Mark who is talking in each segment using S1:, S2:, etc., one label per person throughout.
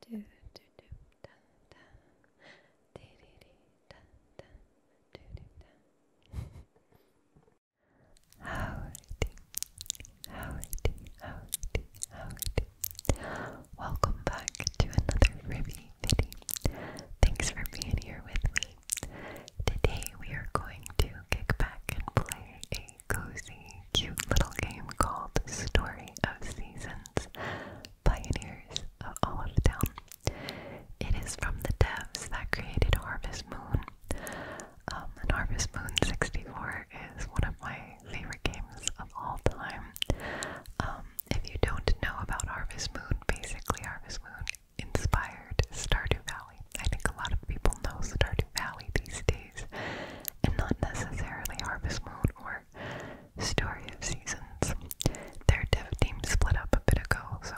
S1: do do do da da dee dee dee da da do do da Howdy Howdy Howdy Howdy Welcome back to another Ribby video. Thanks for being here with me. Today we are going to kick back and play a cozy, cute little game called Story of Seasons Pioneers of Olive Town. It is from the devs that created Harvest Moon. Um, and Harvest Moon 64 is one of my favorite games of all time. Um, if you don't know about Harvest Moon, basically Harvest Moon inspired Stardew Valley. I think a lot of people know Stardew Valley these days, and not necessarily Harvest Moon or story of seasons. Their dev team split up a bit ago, so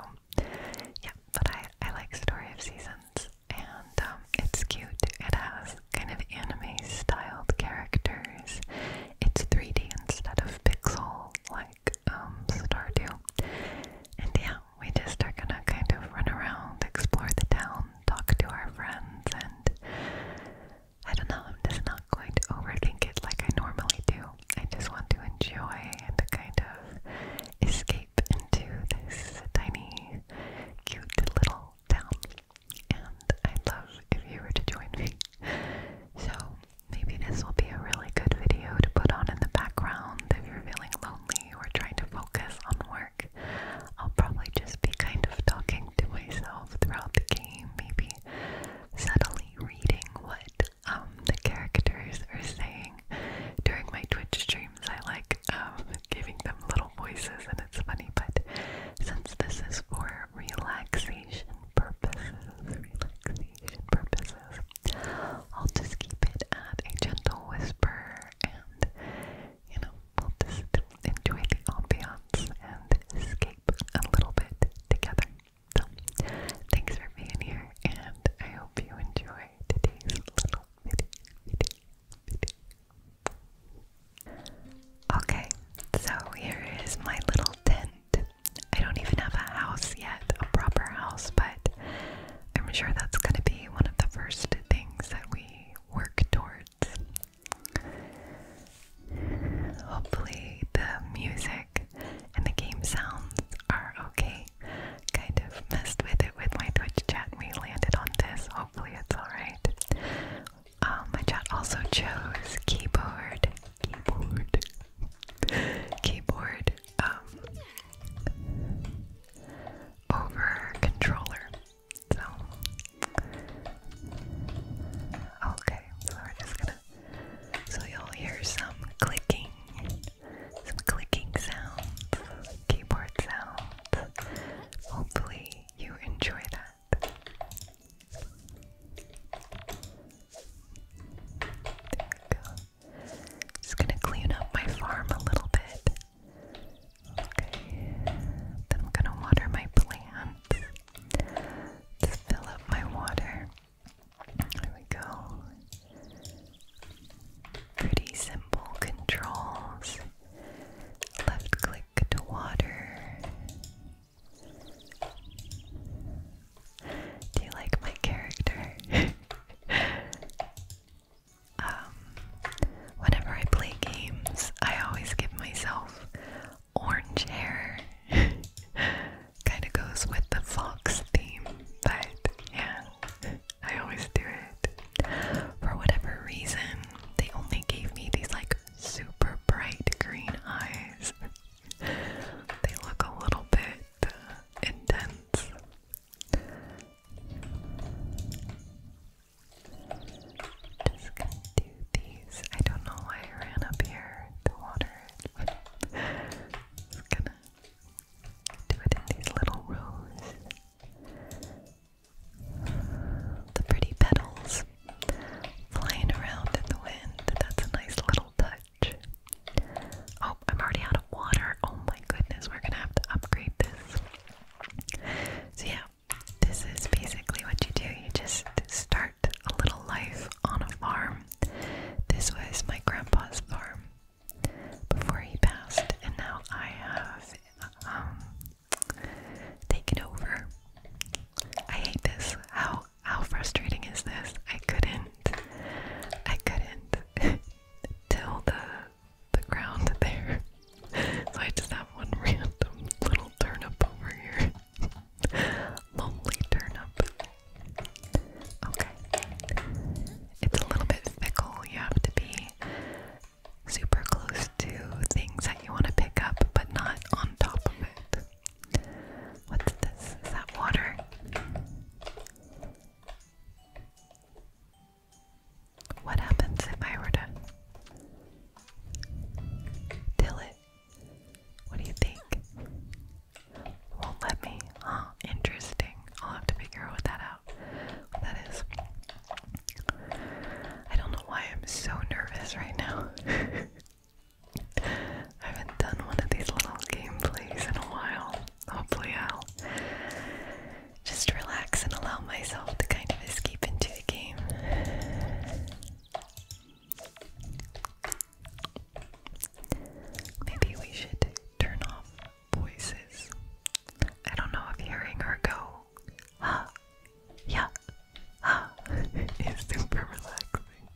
S1: yeah, but I, I like Story of Seasons and um, it's cute. It has kind of anime styled characters. It's 3D instead of pixel like um, Stardew. And yeah, we just are gonna kind of run around, explore the town, talk to our friends, and I don't know, I'm just not going to overthink it like I normally do. I just want to enjoy and kind of escape into this tiny, cute little town. And I'd love if you were to join me. So maybe this will be a really good video to put on in the background if you're feeling lonely or trying to focus on work. I'll probably just be kind of talking to myself throughout the game, maybe subtly reading what um, the characters are saying. During my Twitch streams, I like um, giving them little voices, and it's funny, but since this is for relaxation purposes, relaxation purposes, I'll just keep it at a gentle whisper and you know, just enjoy the ambiance and escape a little bit together. thanks for being here, and I hope you enjoy today's little video. video. Okay, so here is my little tent. I don't even have a house yet, a proper house, but I'm sure that's going to be one of the first things that we work towards Hopefully, the music and the game sounds are okay. Kind of messed with it with my Twitch chat we landed on this. Hopefully, it's alright. Um, my chat also chose keyboard, keyboard, keyboard um, over controller. So, okay, so we're just gonna. So you'll hear some clicking, some clicking sounds, keyboard sounds. Hopefully, you enjoy that. There we go. Just gonna clean up my farm a little bit. Okay. Then I'm gonna water my plant to fill up my water. There we go. Pretty simple controls. Left click to water. Do you like my character? Um, whenever I play games, I always give myself orange hair kind of goes with the fox theme, but yeah, I always do it. For whatever reason, they only gave me these like super bright green eyes. they look a little bit uh, intense. Just gonna do these. I don't know why I ran up here to water Just gonna do it in these little rows. The pretty petals flying around in the wind. That's a nice little touch. Oh, I'm already out of water. Oh my goodness, we're gonna have to upgrade this. So, yeah, this is basically what you do. You just start a little life on a farm. This was my grandpa's farm before he passed, and now I have um, taken over. I hate this. How how frustrating is this? I couldn't. I couldn't till the the ground there. so I just have one random little Turn up over here. Lonely turnip. Okay. It's a little bit fickle. You have to be super close to things that you want to pick up, but not on top of it. What's this? Is that water? What happens if I were to till it? What do you think? Won't let me. Huh, interesting. I'll have to figure what that out. that is. I don't know why I'm so nervous right now. I haven't done one of these little gameplays in a while. Hopefully, I'll just relax and allow myself to kind of escape into the game. Maybe we should turn off voices. I don't know if hearing her go, huh, yeah, huh, is super relaxing.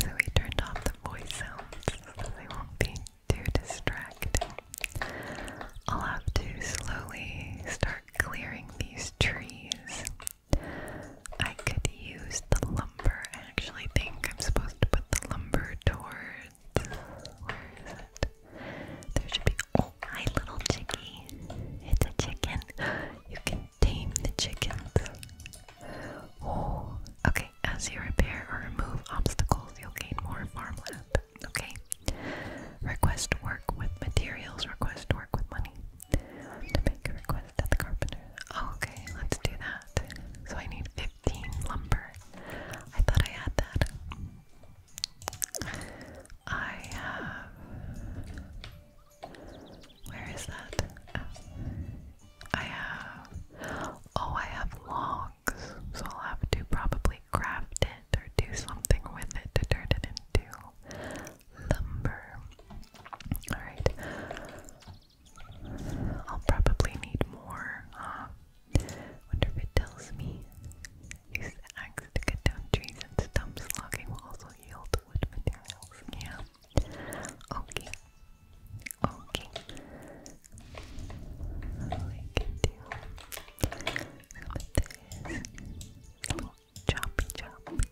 S1: So we turned off the voice sounds so they won't be too distracting. I'll have to slowly start clearing these trees I could use the lumber. I actually think I'm supposed to put the lumber towards. Where is it? There should be. Oh, hi, little chickie. It's a chicken. You can tame the chickens. Oh, okay. As you repair or remove obstacles, you'll gain more farmland. Okay. Request work with materials, request work with money. To make a request at the carpenter. Oh, okay, let's do that. So I need 15 lumber. I thought I had that. I have. Where is that? I have. Oh, I have logs. So I'll have to probably craft it or do something with it to turn it into lumber. Alright. I'll probably need more. Um, wonder if it tells me. Use the to cut down trees and stumps. Logging will also yield wood materials. Yeah. Okay. Okay. Chop, choppy.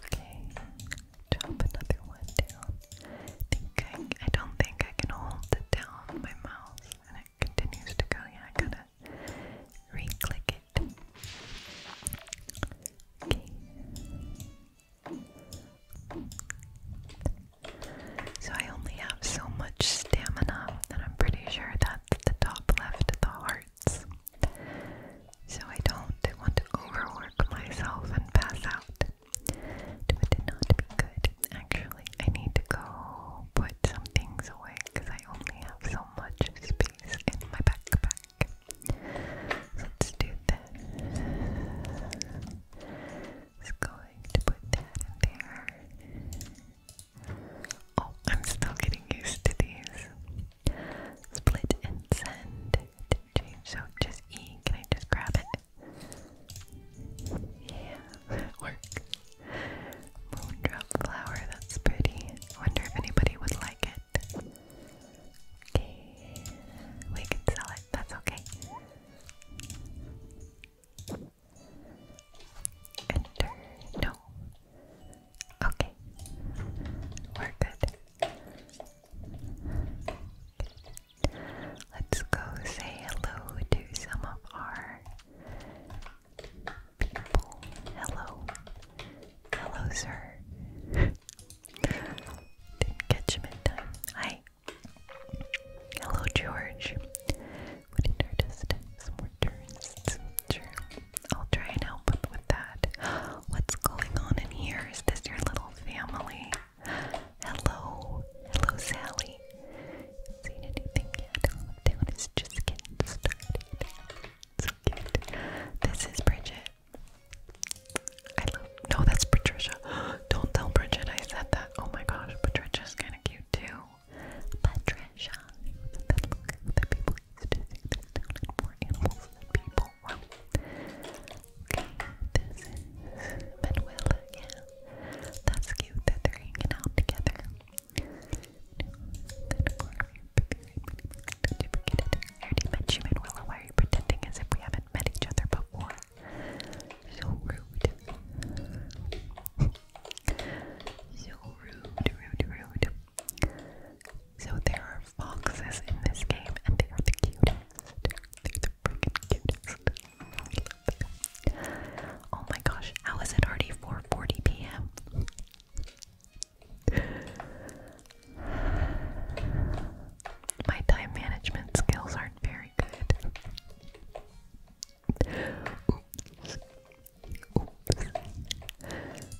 S1: Okay, chop another one down. I don't think I can hold it down my mouse, and it continues to go. Yeah, I gotta re-click it. So I only have so much stamina, and I'm pretty sure that's the top left of the hearts. So I don't want to overwork myself and pass out. It would not be good. Actually, I need to go put some things away because I only have so much space in my backpack. Let's do that. Just going to put that in there. Oh, I'm still getting used to these. Split and send So just E. Can I just grab it? Yeah, work. Moondrop flower, that's pretty. wonder if anybody would like it. Okay, we can sell it, that's okay. Enter, no. Okay, we're good. Let's go say hello to some of our people. Hello. Hello, sir. Didn't catch him in time. Hi. Hello, George. What an artist. Some more tourists. Sure. I'll try and help with that. What's going on in here? Is this your little family? Hello. Hello, Sally. Seen anything yet? Lockdown just getting started. So cute. This is Bridget. I love. No, that's Patricia. Don't tell Bridget I said that. Oh my gosh, Patricia is kind of cute too. Patricia. That book that people used to more animals than people. Okay, this is Manuela. Yeah, that's cute that they're hanging out together. Don't forget it. I already met you, Manuela. Why are you pretending as if we haven't met each other before? So rude. so rude, rude, rude. So there are foxes in this game, and they are the cutest. They're the freaking cutest. Oh my gosh, how is it already 4:40 p.m.? My time management skills aren't very good.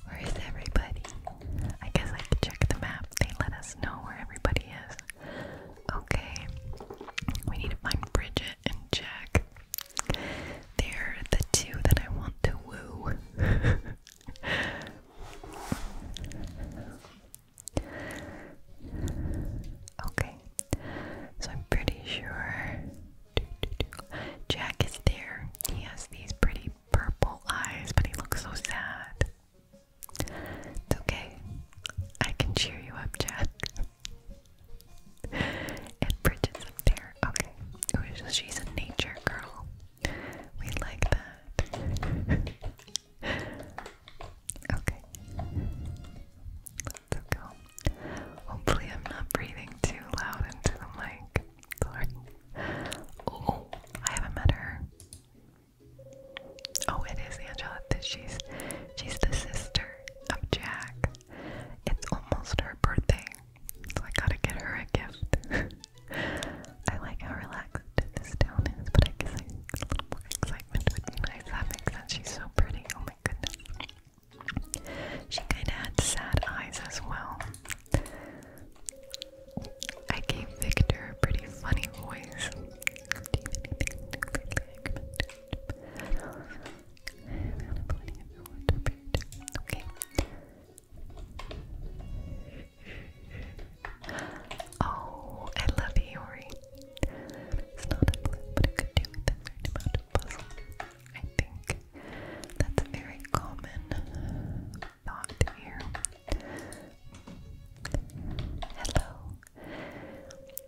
S1: Where is everybody? I guess I could check the map. They let us know where everybody is. Okay. We need to find Bridget and Jack. They're the two that I want to woo. okay, so I'm pretty sure Jack is there. He has these pretty purple eyes, but he looks so sad. It's okay. I can cheer you up, Jack. and Bridget's up there. Okay. she's a nature girl. We like that. okay. Let's go. Hopefully, I'm not breathing too loud into the mic. Oh, I haven't met her. Oh, it is Angela. She's she's the sister of Jack. It's almost her birthday, so I gotta get her a gift. I like how relaxed this town is, but I guess I need a little more excitement That makes sense. She's so pretty. Oh my goodness. She kind of had sad eyes as well. I gave Victor a pretty funny voice. Okay. Oh, I love Yori. It's not a blue, but it could do with a certain amount puzzle. I think that's a very common thought here. Hello.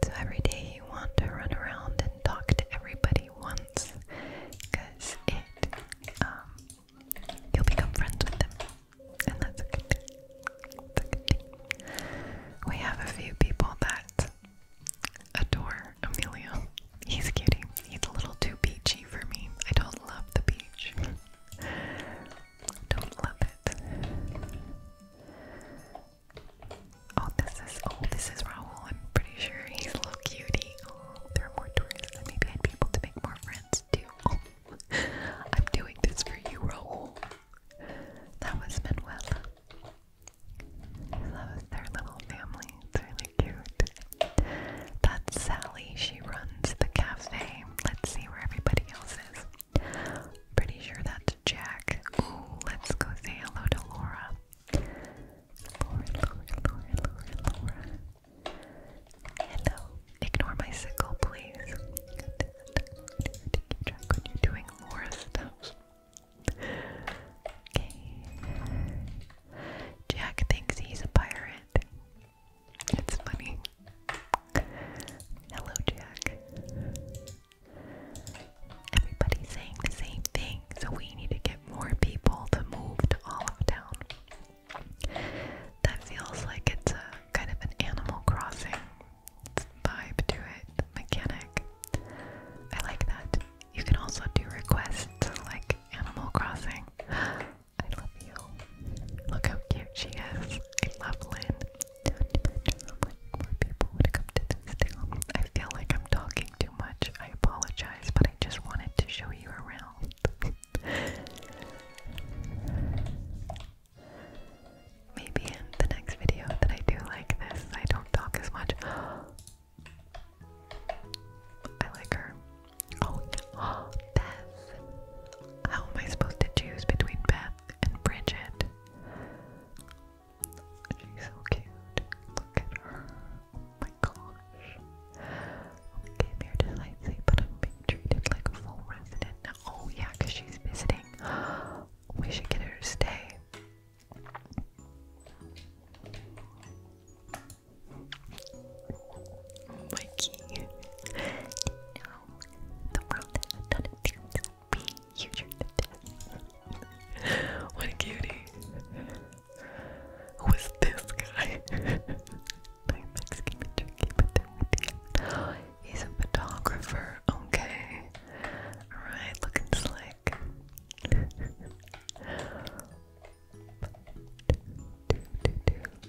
S1: So every day you want to run around and talk to everybody once because it um, You'll become friends with them. And that's a good thing. We have a few people that adore Emilio. He's a cutie. He's a little too beachy for me. I don't love the beach. don't love it. Oh, this is oh, this is Raul. I'm pretty sure he's a little cutie. Oh, there are more tourists, maybe I'd be able to make more friends. I'm doing this for you, Raul. That was Manuela. That was their little family. It's really cute. That's Sally. She runs the cafe. Let's see where everybody else is. Pretty sure that's Jack. let's go say hello to Laura. Hello. Um, ignore my sickle, please. To doing more stuff. Okay. Jack thinks he's a pirate. It's funny. Hello, Jack. Everybody's saying the same thing, so we need to get more people to move to Olive Town. That feels like it's a kind of an Animal Crossing vibe to it, mechanic. I like that. You can also do requests like Animal Crossing. I love you. Look how cute she is. I love Lynn. people would come to this town. I feel like I'm talking too much. I apologize, but I just wanted to show you around. Maybe in the next video that I do like this, I don't talk as much. I like her. Oh, yeah. How am I supposed to choose between Beth and Bridget? She's so cute. Look at her. Oh my gosh came here to sightsee, but I'm being treated like a full resident Oh yeah, because she's visiting. We should get her to stay. Mikey, the world has a ton of what a cutie. Who is this guy? He's a photographer. Okay. Alright, looking slick.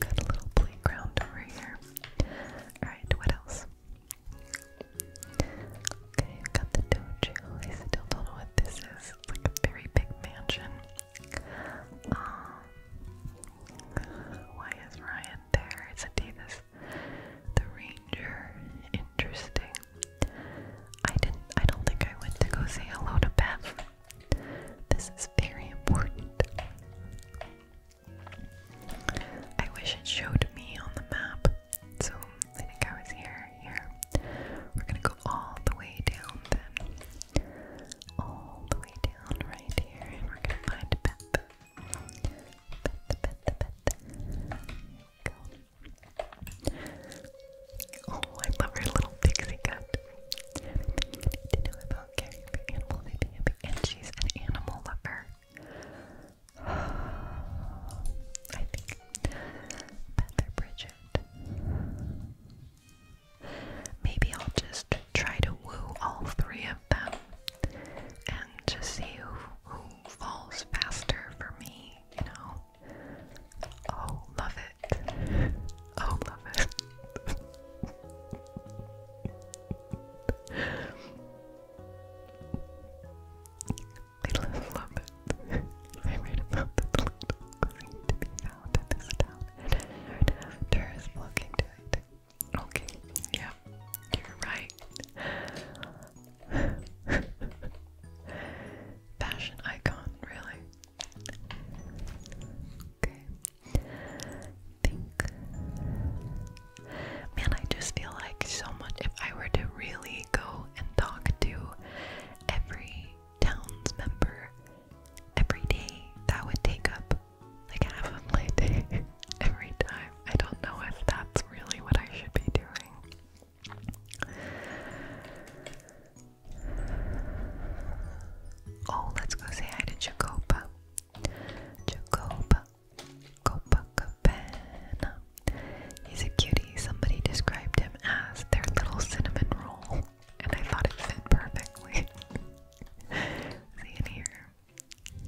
S1: Got a little playground over here. Alright, what else? Okay, got the dojo. I still don't know what this is. It's like a very big mansion. Um, why is Ryan there? Is Adidas the Ranger? Interesting. I didn't. I don't think I went to go say hello to Beth. This is very important. I wish it showed me on the map. So I think I was here. Here, we're gonna go all the way down then all the way down right here, and we're gonna find Pip. Pip, Pip, Pip. Go. Oh, I love her little pixie cut. To know about caring for animal and she's an animal lover. I think Heather Bridget. Maybe I'll just try to woo all three of them and just see who, falls faster for me, you know? Oh, love it. Oh, love it. I love it. I read about the little coin to be found in this town, and looking to it. Okay, yeah, you're right. Fashion icon, really. Okay. Think. Man, I just feel like so much. If I were to really go and talk to every town's member every day, that would take up like half of my every time. I don't know if that's really what I should be doing. Oh, let's go say hi to Jacoba. Jacoba. Copacabana. He's a cutie. Somebody described him as their little cinnamon roll, and I thought it fit perfectly. Is in here?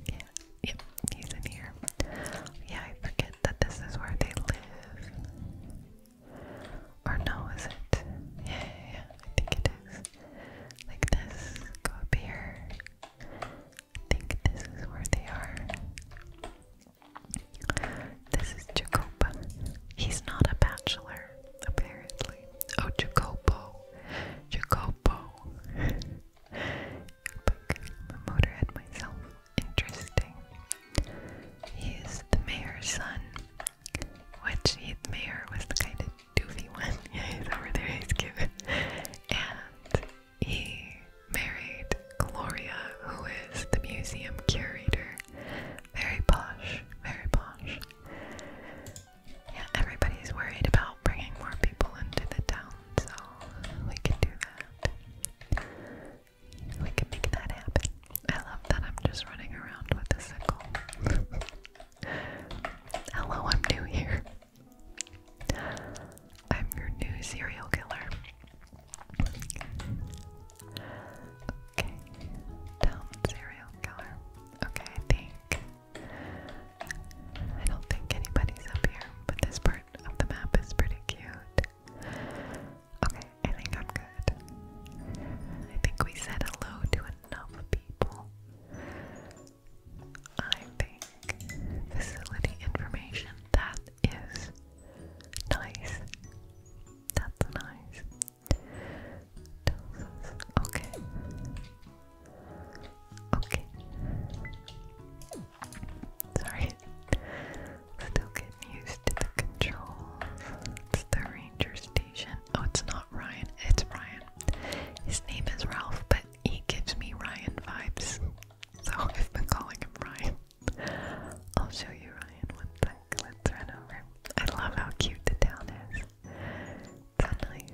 S1: Yeah, yep, he's in here. Yeah, I forget that this is where they live. Or no, is it? Yeah, yeah, I think it is. Like this, go up here. I think this is where they are. This is Jacoba. He's not a bachelor, apparently. Oh, Jacopo. Jacopo bow. but the motorhead myself. Interesting. He is the mayor's son. Which he, the mayor was the kind of doofy one. Yeah, he's over there, he's cute. And he married Gloria, who is the museum curator. Very posh, very posh. Yeah, everybody's worried about bringing more people into the town, so we can do that. We can make that happen. I love that I'm just running around with a sickle. Hello, I'm new here. I'm your new serial killer. Okay, town serial killer. Okay, think I don't think anybody's up here, but this part of the map is pretty cute. Okay, I think I'm good. I think we said hello to enough people. I think facility information, that is nice. That's nice. okay. Okay. Sorry. Still getting used to the controls. It's the ranger station. Oh, it's not Ryan. It's Ryan. His name is Ralph, but he gives me Ryan vibes. So I've been calling him Ryan. I'll show you Ryan one sec. Let's over. I love how cute the town is. Sunrise.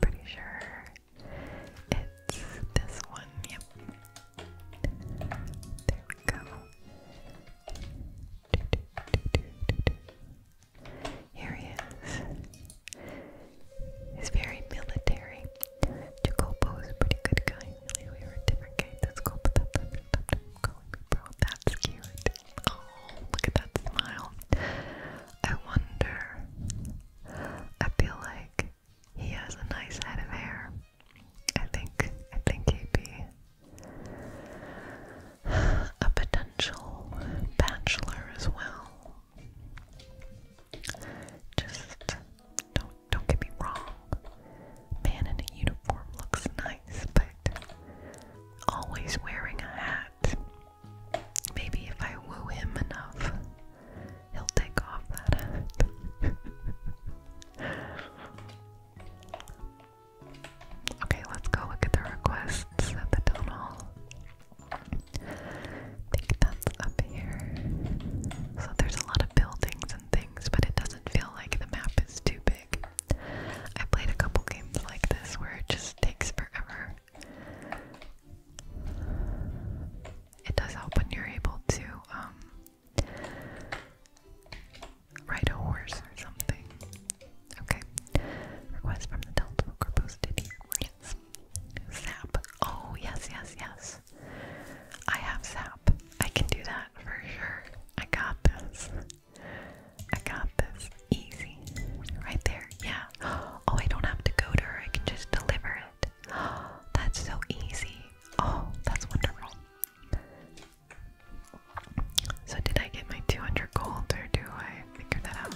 S1: Pretty sure it's this one. Yep. There we go. Here he is. He's very military. Jacopo is a pretty good guy. Really, we were different guy. Let's go put That's cute. Oh, look at that smile. I wonder. I feel like he has a nice head of hair. I think I think he'd be a potential bachelor as well. Just don't don't get me wrong. Man in a uniform looks nice, but always wearing a hat Maybe if I woo him enough, he'll take off that okay, let's go look at the requests at the town hall. I think that's up here. So there's a lot of buildings and things, but it doesn't feel like the map is too big. I played a couple games like this where it just takes forever it does help when you're able to um, ride a horse or something. Okay. Request from the Delta Booker posted Yes. Zap. Oh, yes, yes, yes. I have Zap. I can do that for sure. I got this. I got this easy. Right there, yeah. Oh, I don't have to go to her, I can just deliver it. That's so easy. Oh, that's wonderful. So, did I get my 200 gold or do I figure that out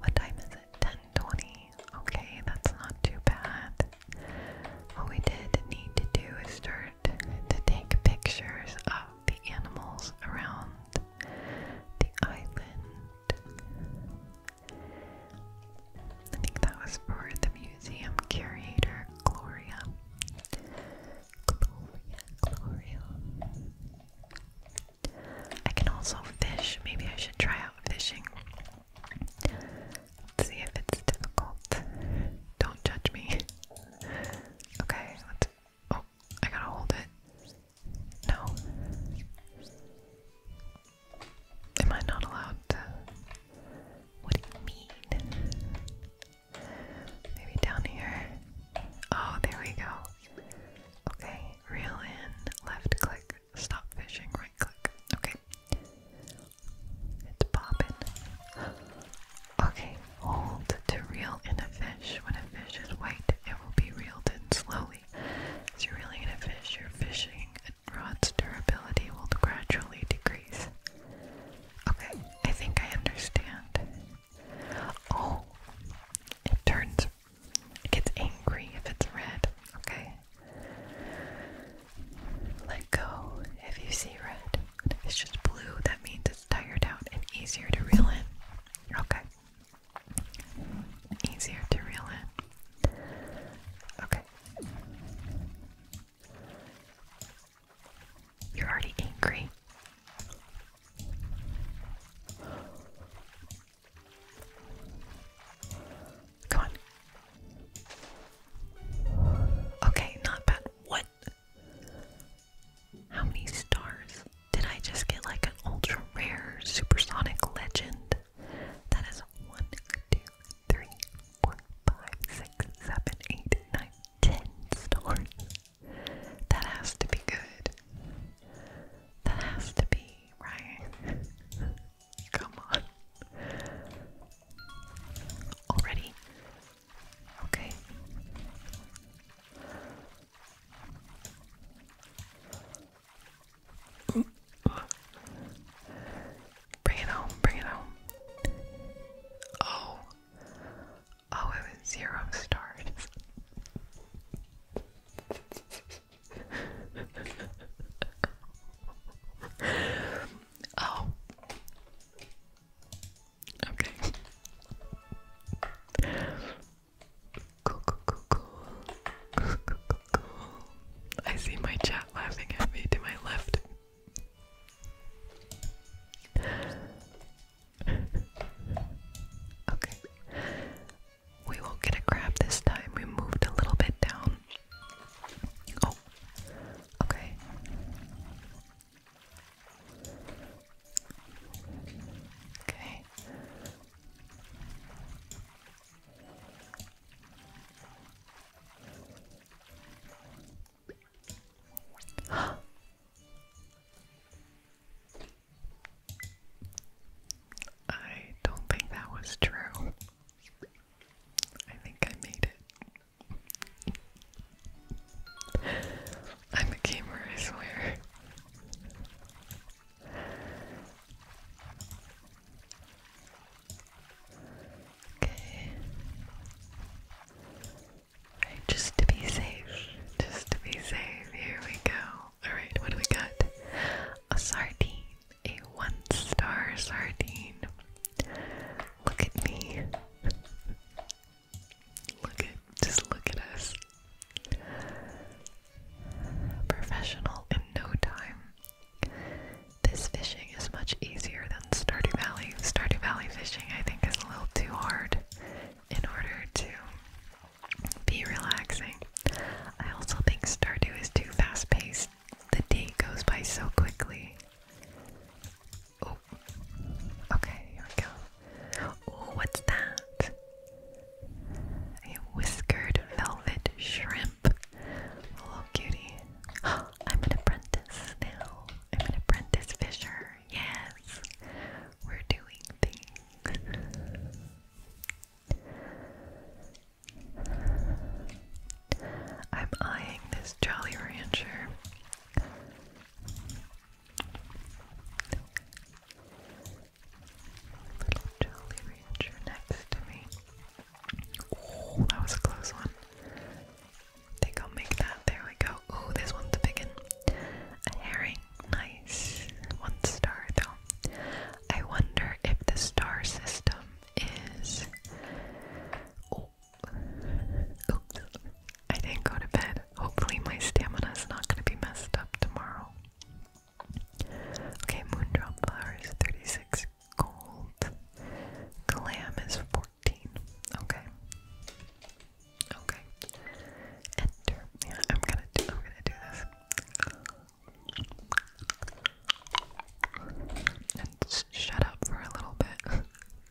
S1: What time is it? 1020. Okay, that's not too bad. What we did need to do is start to take pictures the animals around the island. I think that was for the museum curator, Gloria. Gloria, Gloria. I can also fish. Maybe I should try out fishing. see if it's difficult. Don't judge me. Okay, let's. Oh, I gotta hold it. No. Am I not allowed to? What do you mean? Maybe down here. Oh, there we go. Okay, reel in, left click, stop fishing, right click. Okay. It's popping. Okay, old to reel in a fish. When a fish is white, it will be reeled in slowly. As you're reeling in a fish, your fishing and rod's durability will gradually decrease. Okay, I think I understand. Oh, it turns, it gets angry if it's red. Okay. Let go if you see red. If it's just blue, that means tired out and easier to reel in. Okay. Easier to reel in. Okay. You're already angry. Come on. Okay, not bad. What? How many stars? Did I just get like an ultra rare supersonic legend? That is 1, stars. That has to be good. That has to be, right? Come on. Already Okay. Bring it home, bring it home. Oh. Oh, it was zero stars. oh. Okay. Cool, cool, cool, cool. Cool, cool, cool, I see my chat laughing at me to my left. okay. We will get a crab this time. We moved a little bit down. Oh. Okay. Okay. I don't think that was true. I think I made it. I'm a gamer, I swear. Okay. Right, just to be safe. Just to be safe. Here we go. Alright, what do we got? A sardine. A one star sardine. Look at me. Look at just look at us. Professional in no time. This fishing is much easier than Stardew Valley. Stardew Valley fishing I think is a little too hard in order to be relaxing. I also think Stardew is too fast paced. The day goes by so quickly. Oh, okay, here we go. Oh, what's that? A whiskered velvet shrimp. Oh, cutie. I'm an apprentice now. I'm an apprentice fisher. Yes, we're doing things. I'm eyeing this Jolly Rancher. Little Jolly next to me. Oh, that was a close one. I think I'll make that. There we go. Oh, this one's a big one. A herring. Nice. One star, though. I wonder if the star system is. I didn't go to bed. Hopefully, my stamina is not going to be messed up tomorrow. Okay, Moondrop Flower 36 gold. Glam is 14. Okay. Okay. Enter. Yeah, I'm gonna do this. shut up for a little bit.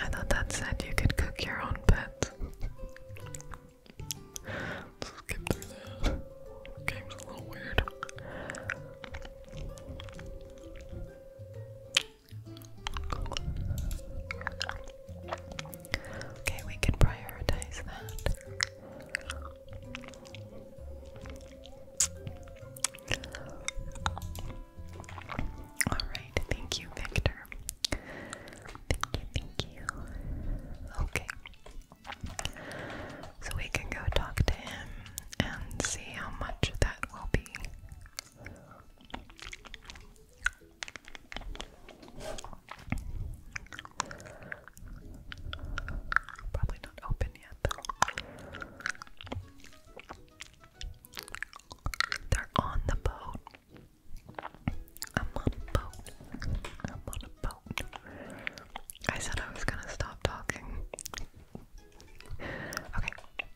S1: I thought that said you could cook your own pets. skip through that. game's a little weird. Okay, we can prioritize that. Alright, thank you, Victor. Thank you, thank you. Okay. So we can go talk to him and see how much that will be. Probably not open yet, though. They're on the boat. I'm on a boat. I'm on a boat. I said I was gonna stop talking. okay.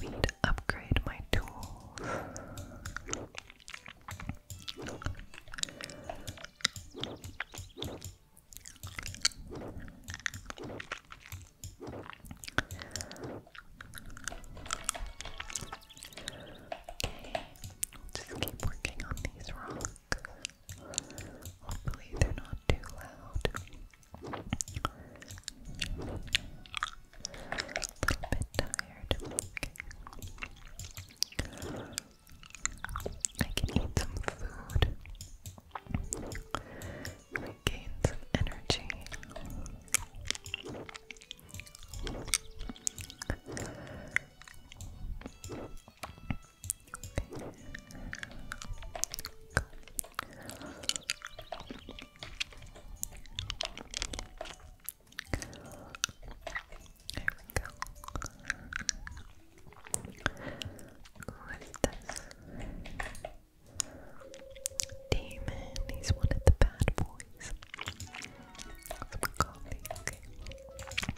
S1: We need to upgrade my tools. I'll just keep working on these rocks. Hopefully they're not too loud. A little bit tired. I can eat some food. Regain some energy this? Demon, he's one of the bad boys. Some coffee, okay.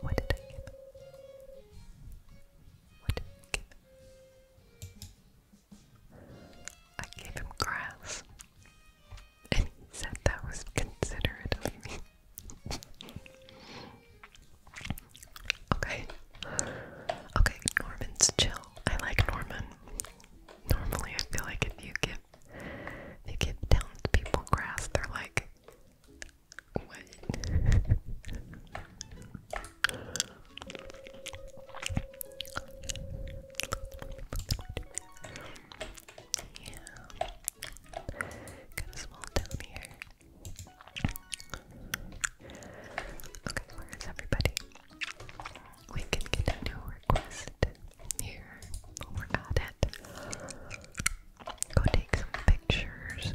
S1: What did I give? What did I give? I gave him grass. And he said that was considerate of me. okay. Okay, Norman's chill. I like Norman. Normally I feel like if you give if you give townspeople grass, they're like yeah. Got a small town here. Okay, where is everybody? We can get a new request here. But we're at it. Go take some pictures.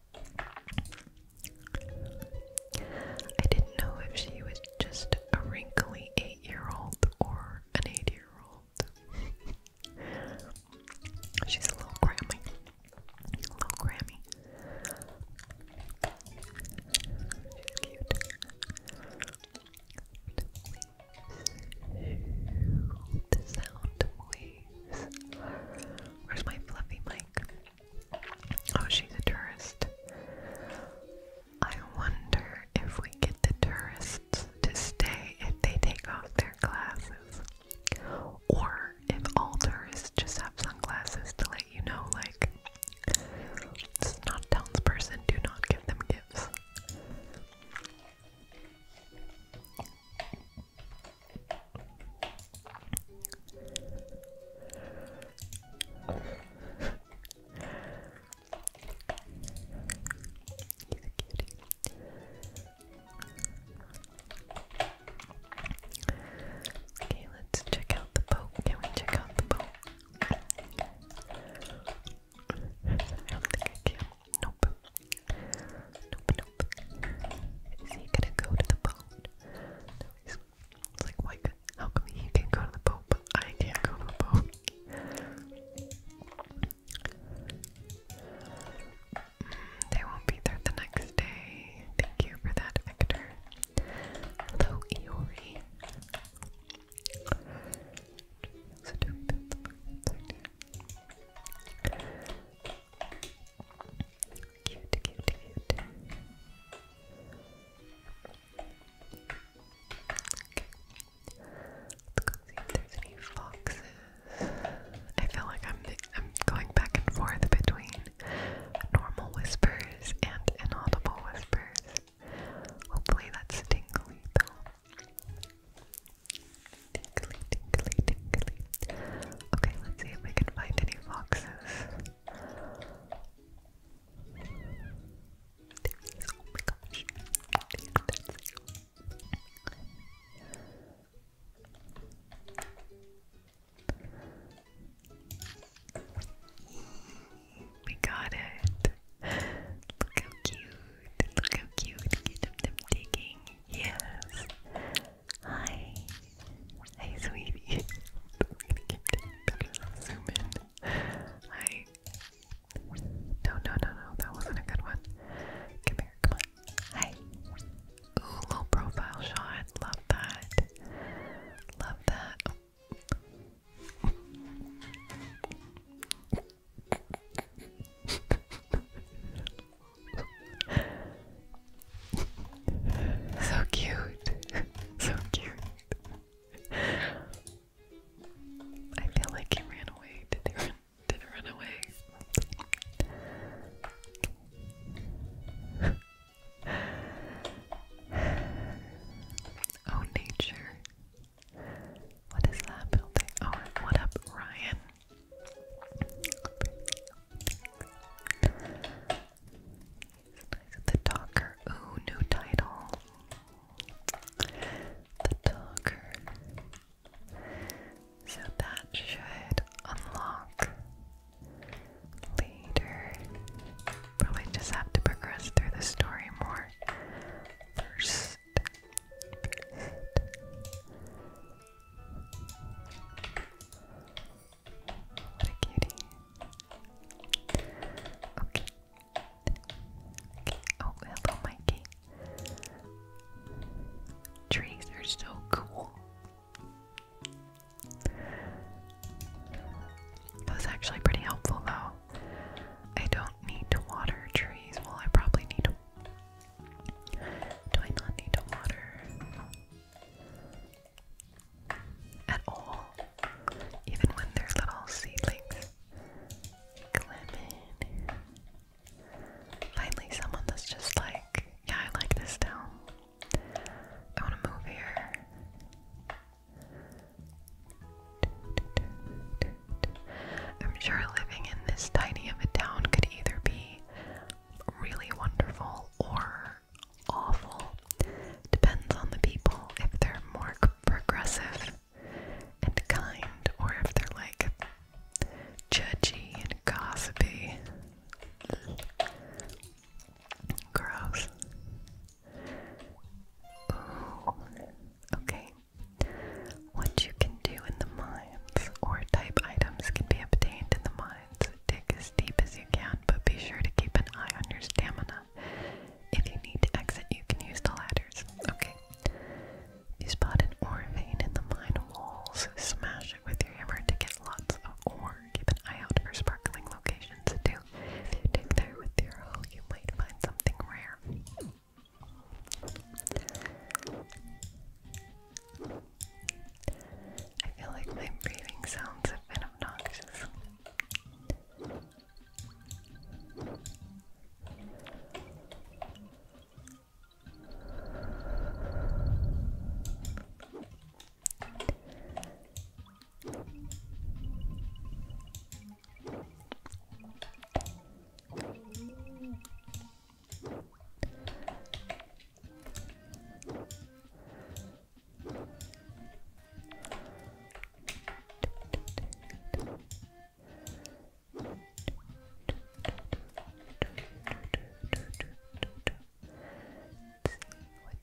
S1: I didn't know if she was just a wrinkly eight year old or an eight year old. She's a little Grammy. little Grammy. She's cute. The sound waves. Where's my fluffy mic? Oh, she's a tourist. I wonder if we get the tourists to stay if they take off their glasses. Or if all tourists just have sunglasses to let you know, like, it's not a townsperson, do not give them gifts. Okay, let's check out the boat. Can we check out the boat? I don't think I can. Nope. Is he gonna go to the boat? it's like why how come he can go to the boat but I can't go to the boat? Mm, they won't be there the next day. Thank you for that, Victor. Hello, Iori. Cute, cute, cute. Let's go see if there's any foxes. I feel like I'm I'm going back and forth between normal whispers and inaudible whispers. Hopefully that's tingly though. Tinkly, tinkly, tinkly. Okay, let's see if we can find any foxes. Oh my gosh. We got it. Look how cute. Look how cute. Get them, them digging. Yes. Hi. Hey, sweetie. Zoom in. Hi. No, no, no, no. That wasn't a good one. Come here. Come on. Hi. Ooh, low profile shot. Love that. Love that. so cute. so cute. I feel like he ran away. Did he run? Did he run away? oh, nature. What is that Oh, what up, Ryan? The Talker. Ooh, new title. The Talker. So that should unlock later. Probably just have to progress through the story more first. What a cutie. Okay. okay. Oh, hello, Mikey. Trees are so cool. That was actually pretty helpful, though. I don't need to water trees. Well, I probably need to. Do I not need to water at all, even when they're little seedlings. Clement. Finally, someone that's just like, yeah, I like this town. I want to move here. I'm sure living in this tiny of a town could either be really wonderful or awful. Depends on the people if they're more progressive and kind or if they're like judgy and gossipy. Gross. Okay. What you can do in the mines or type items can be obtained in the mines dig as deep as you can, but be sure to keep an eye on your stamina. If you need to exit, you can use the ladders. Okay. If you spot an ore vein in the mine walls, smash it with your hammer to get lots of ore. Keep an eye out for sparkling locations too. If you dig there with your hoe, you might find something rare. I feel like my breathing sounds have been obnoxious what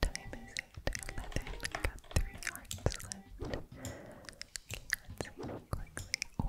S1: time is it? 11. got three hearts left. let's see quickly. Oh.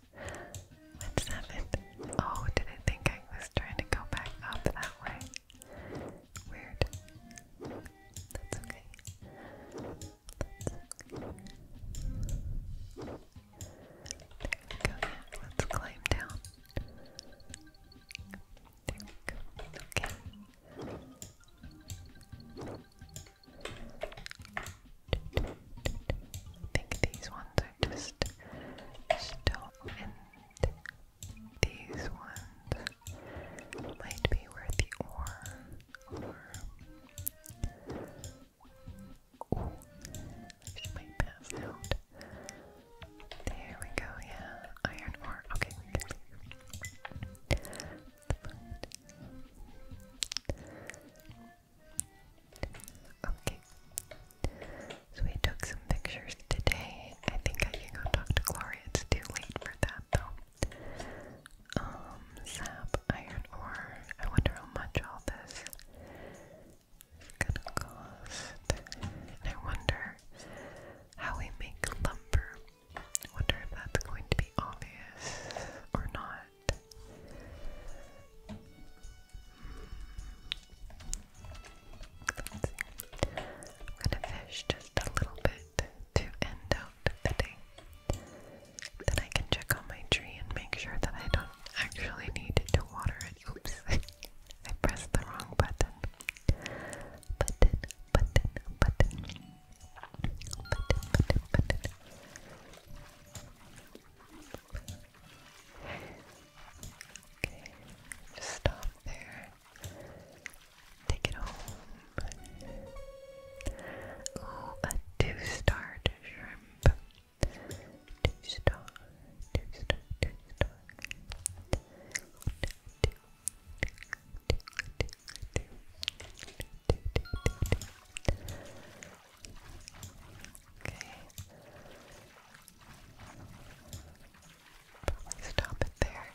S1: What's happened? Oh, did I think I was trying to go back up that way? Weird. That's okay. That's okay. go. Yeah, let's climb down. Okay. I think these ones are just still, and these ones might be where the ore or. might pass out. There we go, yeah. Iron ore. Okay, Okay. So we took some pictures today. I think I can go talk to Gloria. It's too late for that though. Um, sap, iron ore. I wonder how much all this is gonna cost. And I wonder how we make lumber. I wonder if that's going to be obvious or not. I'm going to fish just a little bit to end out the day. Then I can check on my tree and make sure that I don't actually need to water it. Oops, I pressed the wrong button. Button, button, button. Button, button, button. Okay, just stop there. Take it home. Oh, a two-star shrimp. Two-star, two-star, two-star. Okay. Probably stop it there.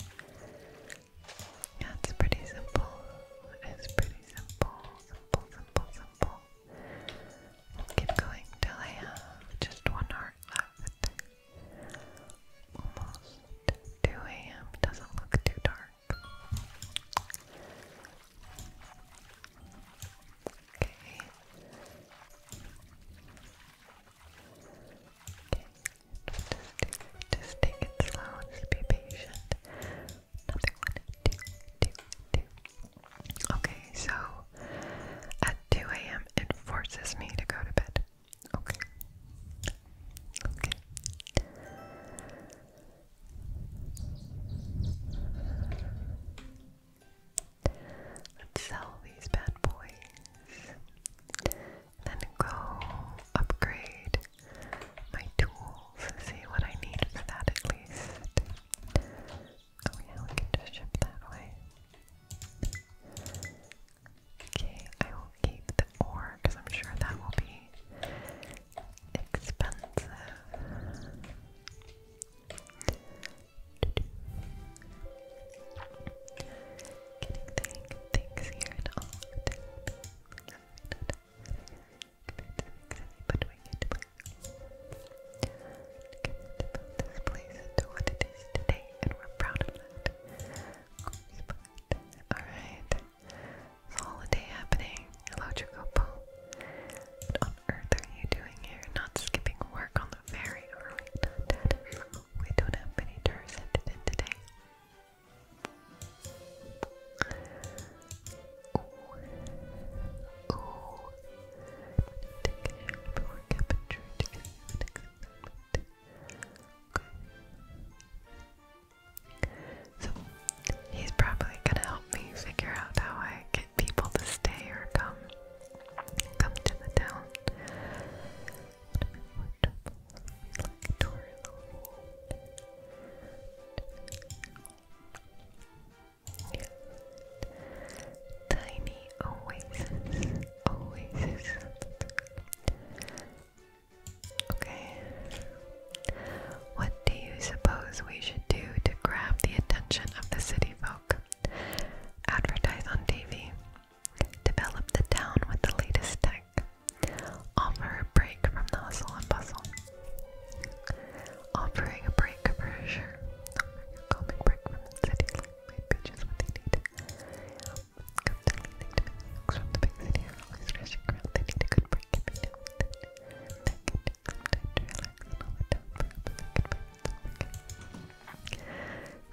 S1: Yeah, it's pretty simple. It's pretty simple. Simple, simple, simple. keep going till I have just one heart left. Almost 2 a.m. Doesn't look too dark. Okay. Okay. Just just take it slow. be patient. Nothing Okay, so at 2 a.m. it forces me to go to bed. Okay. Okay. Let's sell these bad boys. Then go upgrade my tools. See what I need for that at least. Oh yeah, we can just ship that way. Okay, I will keep the ore because I'm sure that will be expensive. Getting things here and all of the time. But we get about this place to what it is today, and we're proud of that. Alright. holiday happening. Hello, Jacopo. But earth are you doing here? Not skipping work on the ferry, are we dead? We don't have many tours entered in today. So, he's probably gonna help me figure out how I can people to stay or come come to the town. Yeah. Tiny oasis, oasis. Okay. What do you suppose we should do to grab the attention of the city folk? Advertise on TV. Develop the town with the latest tech. Offer a break from the hustle and bustle. Offering a break for sure. Offering a calming break from the city life. Maybe just what they need. Constantly they from the big city are always rushing around. They need a good break every now and then. Simple,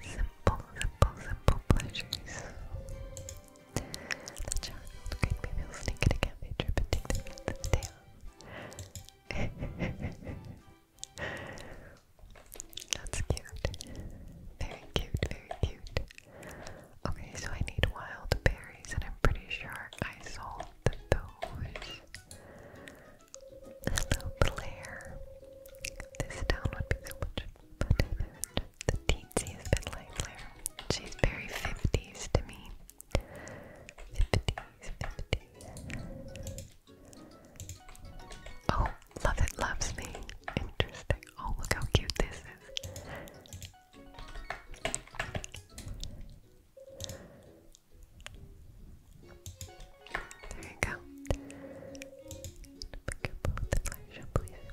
S1: simple, simple pleasures. The child could be real sneak at a cafe trip and the kids to That's cute. Very cute, very cute. Okay, so I need wild berries, and I'm pretty sure I sold those. Hello, Blair. This town would be so much better than the teensiest bit like Blair. She's very 50s to me. 50s, 50s. Oh, love it, loves me. Interesting. Oh, look how cute this is. There you go. Pick up both the flash please.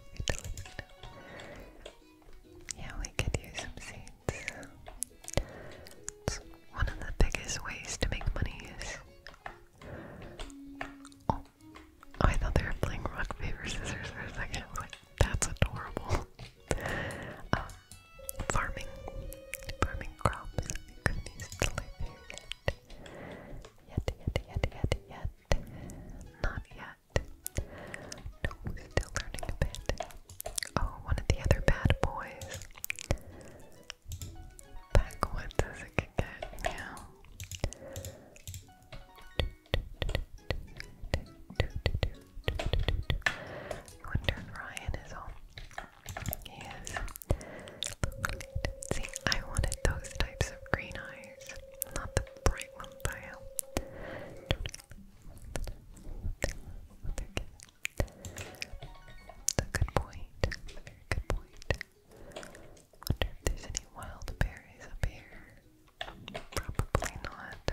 S1: Yeah, we could use some seeds. one of the biggest ways to make money is. Oh, I thought they were playing rock paper scissors for a second. I was like, that's adorable. Um, farming, farming crops. You could easily yet. Yet, yet, yet, yet, yet. Not yet. still learning a bit. Oh, one of the other bad boys. Backwoods as it get now. I wonder if Ryan is home. Yes. See, I wanted those types of green eyes, not the bright ones I have. That's a good point. very good point. Wonder if there's any wild berries up here. Probably not.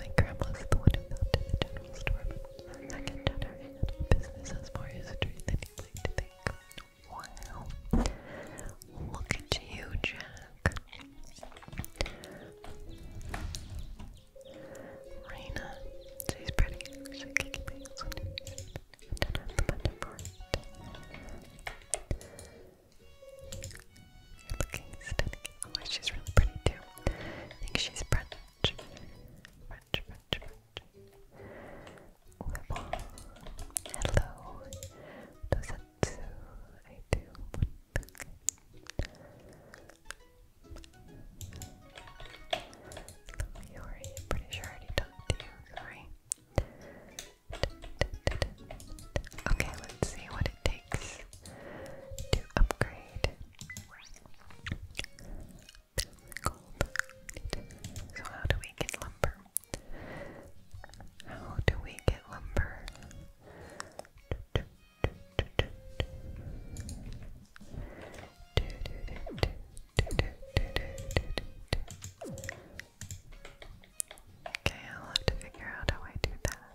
S1: My grandma's the one who founded the general store, I can tell her business has more history than you'd like to think. Look at you, Jack. Raina. She's pretty. She's kicking my heels on her. I don't have the button for it. You're looking stunning. Oh, she's really pretty too. I think she's Brenda. Hello. Does it do? I do. Yori, pretty sure already talked to you. Sorry. Okay, let's see what it takes to upgrade. That's gold. So how do we get lumber? How do we get lumber? Okay, I'll have to figure out how I do that.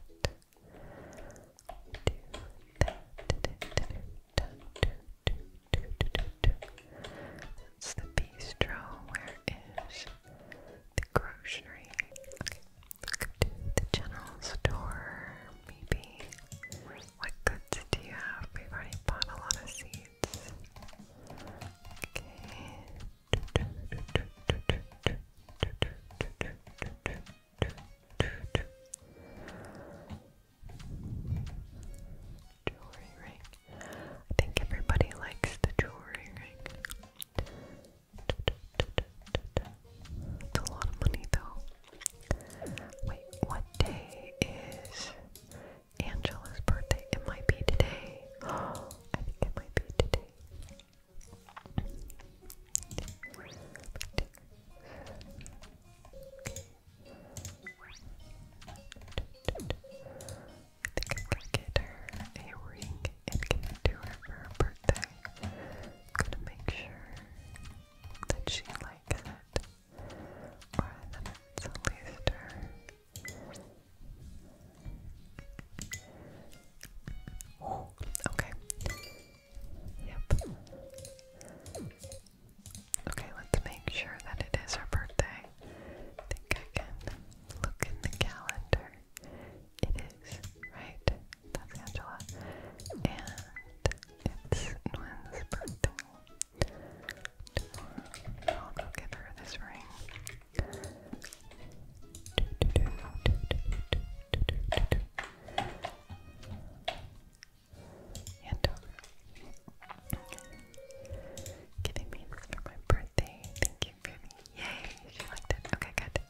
S1: That's the bistro. Where is the grocery? the general store. Maybe. What goods do you have? We've already bought a lot of seeds. Jewelry ring. I think everybody likes the jewelry ring. It's a lot of money though. Wait, what day is Angela's birthday? It might be today. I think it might be today. I'm gonna get her a ring and give it to her for her birthday. gonna make sure that she likes it. Or that it's at least her. okay. Yep. Okay, let's make sure that it is her birthday. I think I can look in the calendar. It is, right? That's Angela. And it's Nwin's birthday. I'll go get her this ring. And um, giving me this for my birthday. Thank you for yay. She liked it. Okay, good.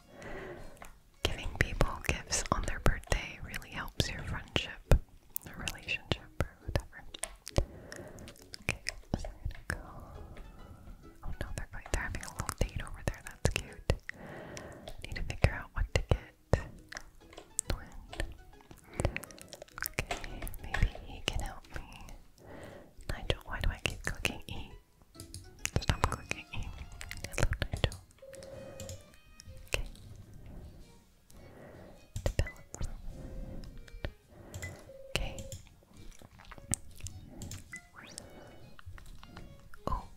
S1: Giving people gifts on their birthday really helps your friendship or relationship or whatever. Okay, so i go. Oh no, they're going. They're having a little date over there. That's cute. need to figure out what to get. Okay, maybe he can help me. Nigel, why do I keep clicking E? Stop clicking E. Hello, Nigel. Okay. Okay. Oh,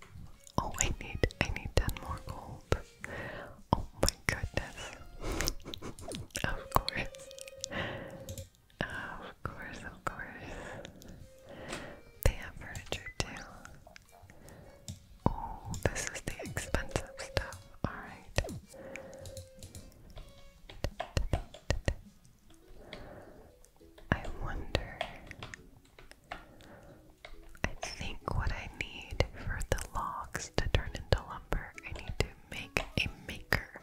S1: Oh, I need, I need 10 more gold. Oh my goodness. of course. Of course, of course. They furniture too. Oh, this is the expensive stuff. Alright. I wonder I think what I need for the logs to turn into lumber, I need to make a maker.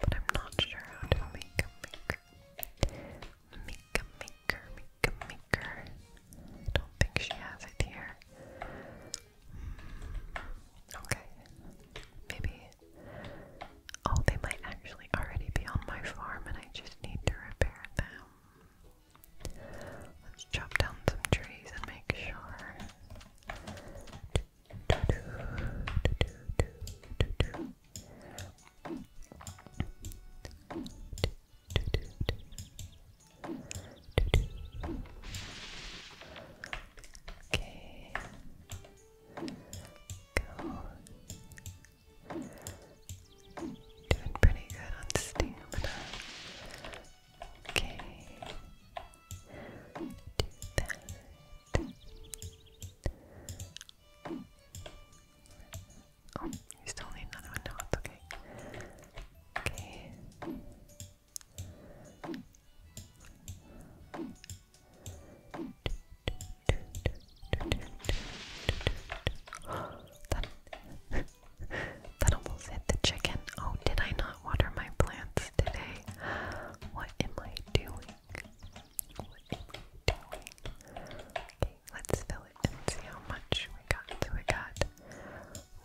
S1: But I'm not sure how to make a maker. Make a maker, make a maker. I don't think she has it here. Hmm. Okay. Maybe. Oh, they might actually already be on my farm and I just need to repair them. Let's chop down some trees and make sure. Okay. Go. Doing pretty good on stamina. Okay. Do that. Oh, you still need another one? No, it's okay. Okay. that almost hit the chicken. Oh, did I not water my plants today? What am I doing? Okay, let's fill it and see how much we got. So we got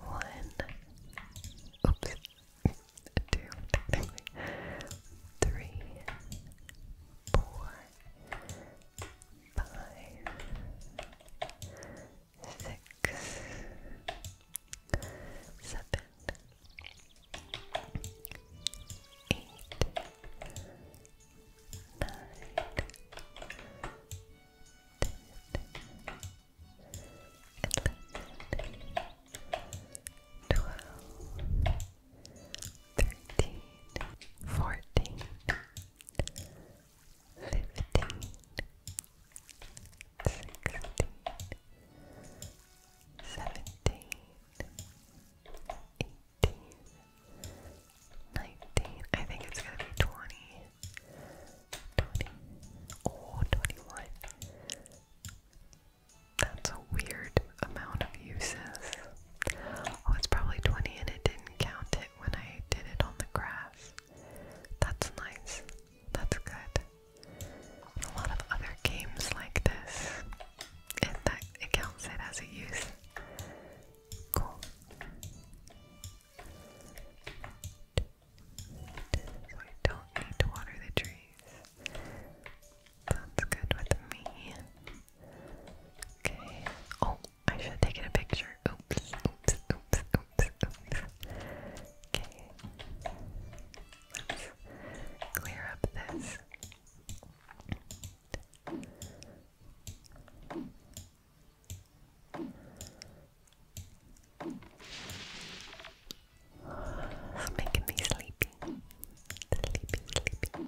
S1: one, six, seven, eight, nine, ten, eleven, twelve, thirteen, fourteen. 15 fifteen, sixteen, seventeen, eighteen, nineteen. I think it's gonna be twenty. Oh, That's a weird amount of uses. Oh, it's probably 20 and it didn't count when I did it on the grass. That's nice. That's good. A lot of other games like this, and that it counts it as a use. Cool. So I don't need to water the trees. That's good with me. Okay. Oh, I should have taken a picture. Oops, oops, oops, oops, Okay. clear up this. making me sleepy. Sleepy, sleepy.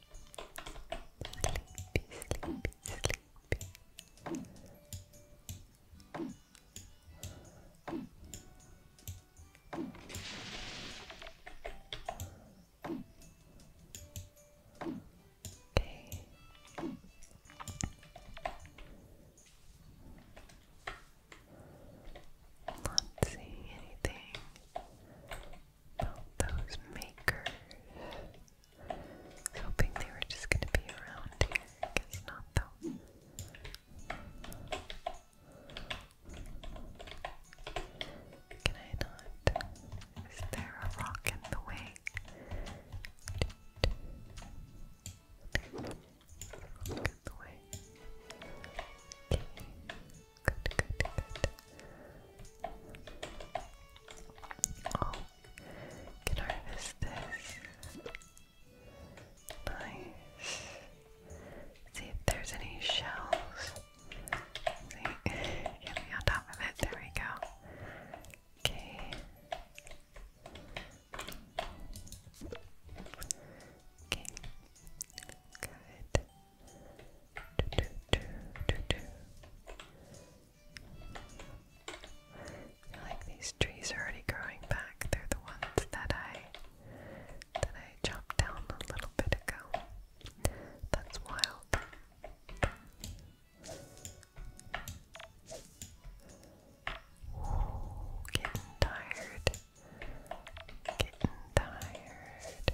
S1: sleepy, sleepy, sleepy. Not seeing anything those makers. hoping they were just going to be around here. guess not, Can I not? Is there a rock in the way? Good, good, Oh, can harvest this. Nice. See if there's any shells. See, get on top of it. There we go. Okay. Okay. Good like these trees are already growing back. They're the ones that I that I chopped down a little bit ago. That's wild. getting tired. Getting tired.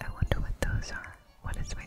S1: I wonder what those are. What is with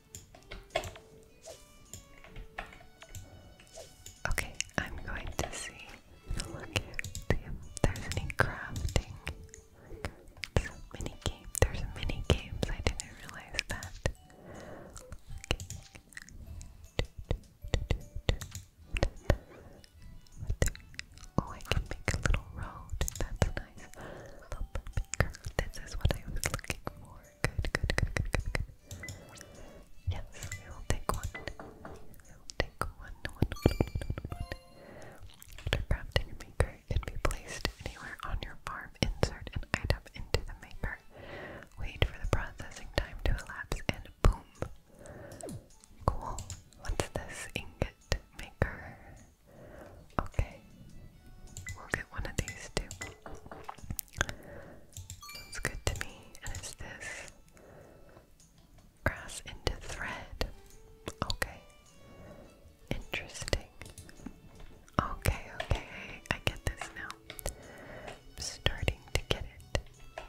S1: Okay, I'm going to see look there's any crafting. There's mini game. There's mini games. I didn't realize that. Oh, I can make a little road. That's nice. This is what I was looking for more. Good, good, good, good, good, good. Yes, we will take one. We will take one, one, one, one, one. After crafting a maker, it can be placed anywhere on your farm. Insert an item into the maker. Wait for the processing time to elapse, and boom. Cool. What's this ingot maker? Okay, we'll get one of these too. Sounds good to me. And is this grass into thread? Okay, interesting. Okay, okay, I get this now. starting to get it.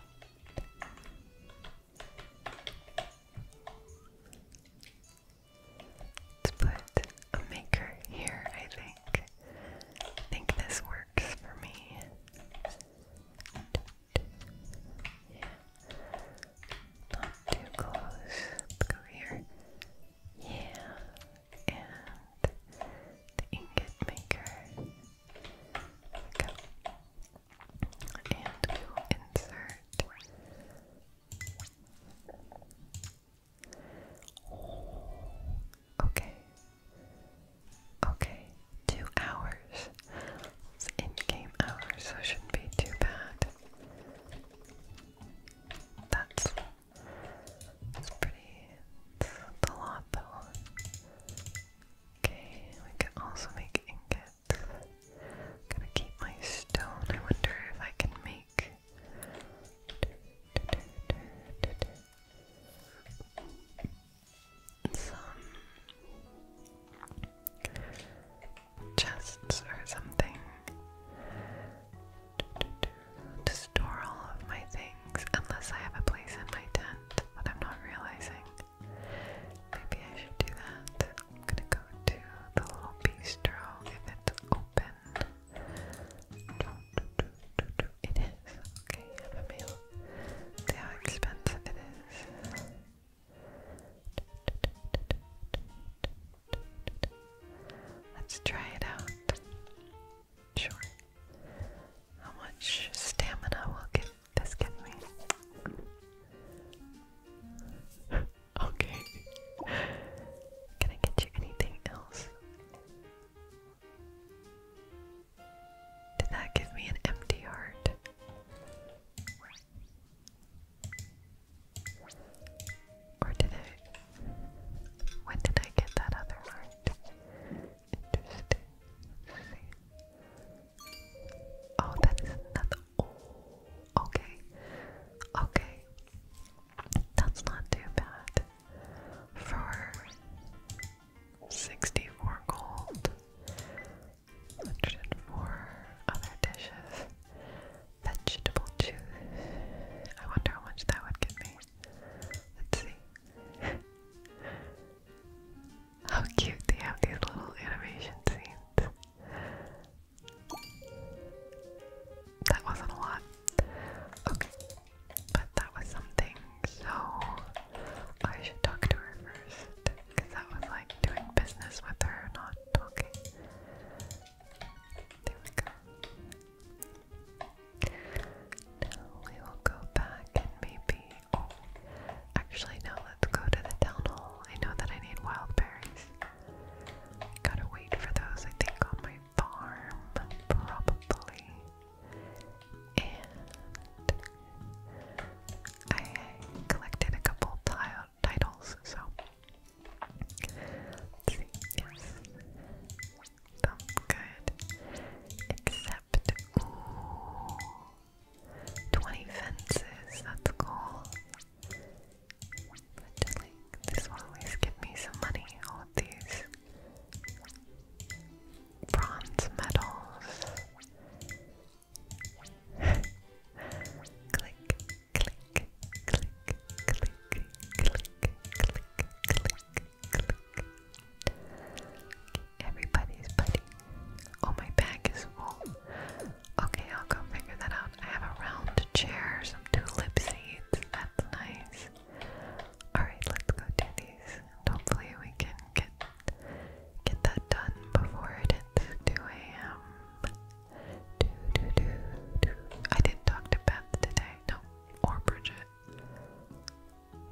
S1: Let's put a maker here, I think. I think this works for me. Yeah. Not too close. go here. Yeah. And the ingot maker. go. And we will insert Okay. Okay. Two hours. It's in game hours, so it shouldn't be too bad. That's, that's pretty. It's a lot though. Okay, we can also make ingots. Gotta keep my stone. I wonder if I can make like. Some chests or something to store all of my things, unless I have a place in my tent that I'm not realizing. Maybe I should do that. I'm gonna go to the little bistro if it's open. It is. Okay, have a meal. See how expensive it is. Let's try it out. Sure. How much stamina will get this give me? okay. Can I get you anything else? Did that give me an empty heart? Or did it? When did I get that other heart? Oh, that is another. Oh, okay. Okay. That's not too bad. For 64 gold, 104 other dishes, vegetable juice. I wonder how much that would give me. Let's see. how cute they have these little animation scenes. That wasn't a lot. Okay, but that was something, so I should talk to her first, that was like doing business with her, not talking. There we go. Now we will go back and maybe. Oh, actually, no, let's go to the town hall. I know that I need wild berries. Gotta wait for those, I think, on my farm, probably. And I collected a couple titles, so yes, sounds good, except, 20 fences, that's cool, this will always give me some money, all of these bronze medals. click, click, click, click, click, click, click. Click. Everybody's buddy. Oh, my bag is full. Okay, I'll go figure that out. I have a round chair, some tulip seeds, nice. Alright, let's go do these. hopefully we can get get that done before it hits 2 a.m. Do, do, do, do. I didn't talk to Beth today. No. Or Bridget.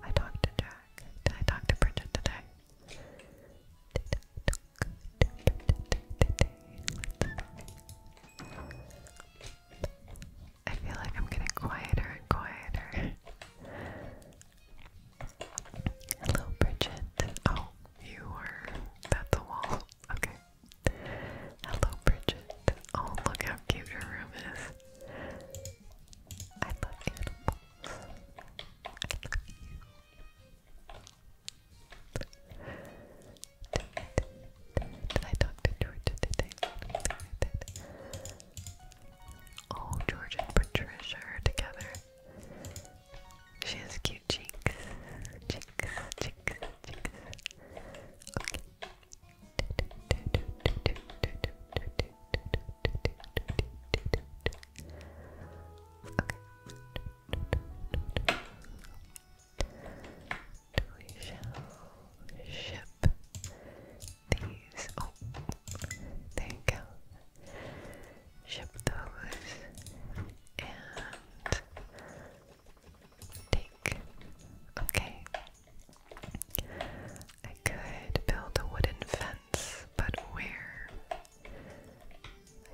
S1: I talked to Jack. Did I talk to Bridget today? I feel like I'm getting quieter and quieter. Hello, Bridget. Oh, you were at the wall. Okay. Hello, Bridget. Oh, look how cute your room is. I love animals. I love you. Oh, George and Patricia together. She has cute cheeks. Cheeks, cheeks, cheeks. Okay we shall ship these. Oh, there you go. Ship those and take. Okay. I could build a wooden fence, but where?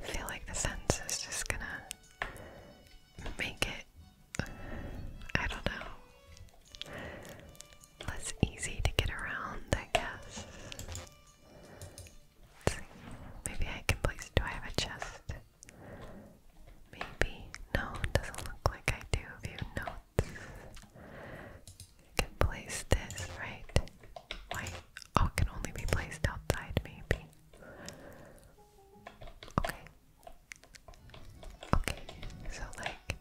S1: I feel like the fence is just gonna make it, I don't know, less easy to get around, I guess. Maybe I can place. Do I have a chest? Maybe. No, doesn't look like I do. View notes. can place this, right? Why? Oh, can only be placed outside, maybe. Okay. Okay, so like,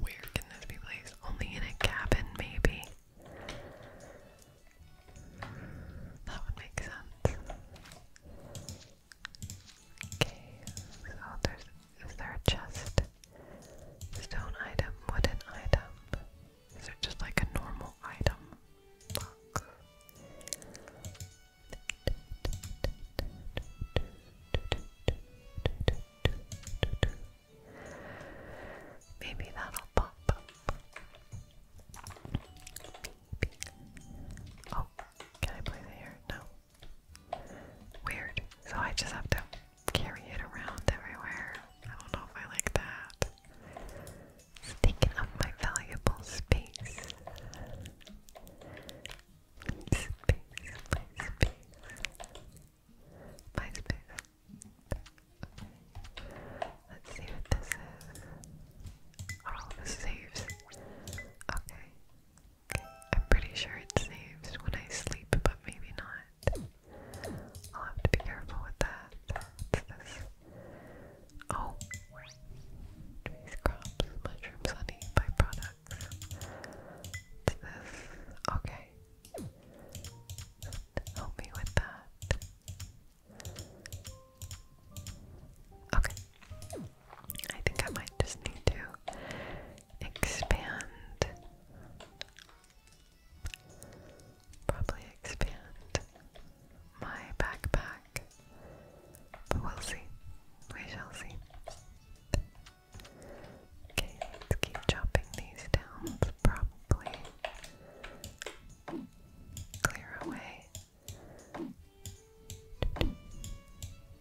S1: where can this be placed? Only in a cabin, maybe? That would make sense. Okay, so there's. Is there a chest? Stone item, wooden item. Is it just like a normal item Maybe that'll pop Oh, can I play the hair? No. Weird. So I just have to carry it around everywhere. I don't know if I like that. It's taking up my valuable space. my space. My space. Let's see what this is. Oh, this saves. Okay. okay. I'm pretty sure it saves when I sleep, but maybe not. I'll have to be careful with that. Oh, trees, crops, mushrooms, honey, byproducts. What's this? Okay. Help me with that. Okay. I think I might just need to expand. Probably expand my backpack back. But we'll see. We shall see. Okay, let's keep chopping these down. Probably clear away.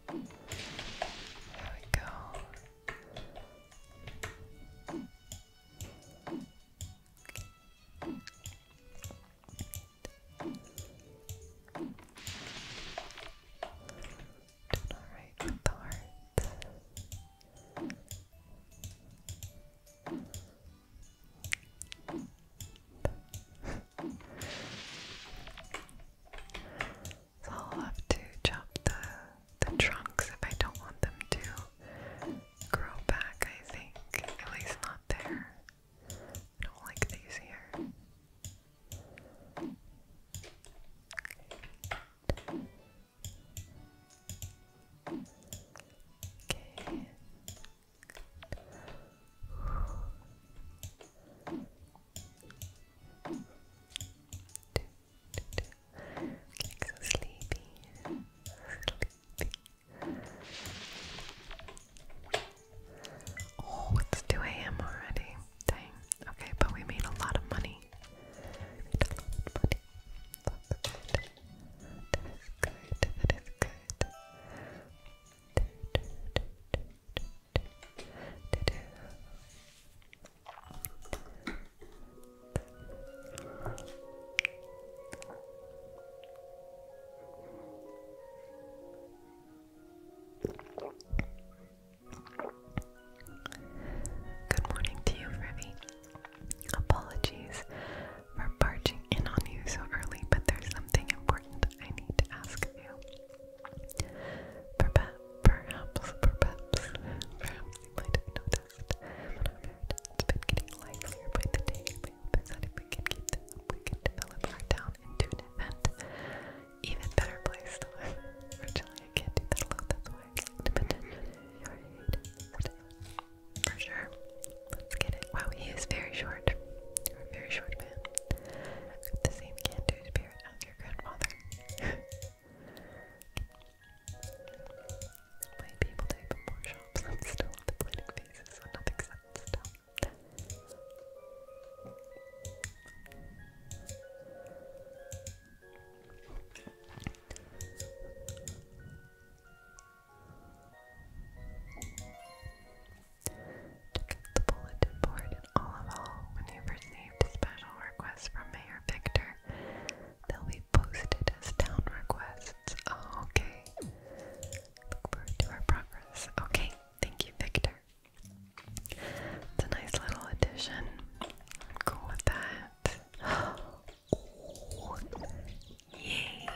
S1: There we go. Doing alright I'll have to chop the the trunks if I don't want them to grow back, I think. At least not there. I don't like these here. Okay. Getting so sleepy. Sleepy. Oh, it's 2 a.m. already. Dang. Okay, but we made a lot of money. Good morning to you, Rivy. Apologies for barging in on you so early, but there's something important I need to ask you. Perhaps, perhaps, perhaps, perhaps you might have noticed. It's been getting livelier by the day. We if we can keep this up, we can develop our town into an event. Even better place Originally, I can't do that alone, that's why dependent For sure. Let's get it. Wow, he is very short. you very short man. the same can-do spirit as your grandfather. Might be able to more shops. I'm still on the planning phases, so nothing's set in stone. Check the bulletin board and all of all when you've received special requests from Mayor Victor. They'll be posted as town requests. Oh, okay. Look forward to our progress. Okay. Thank you, Victor. It's a nice little addition. I'm cool with that. yay!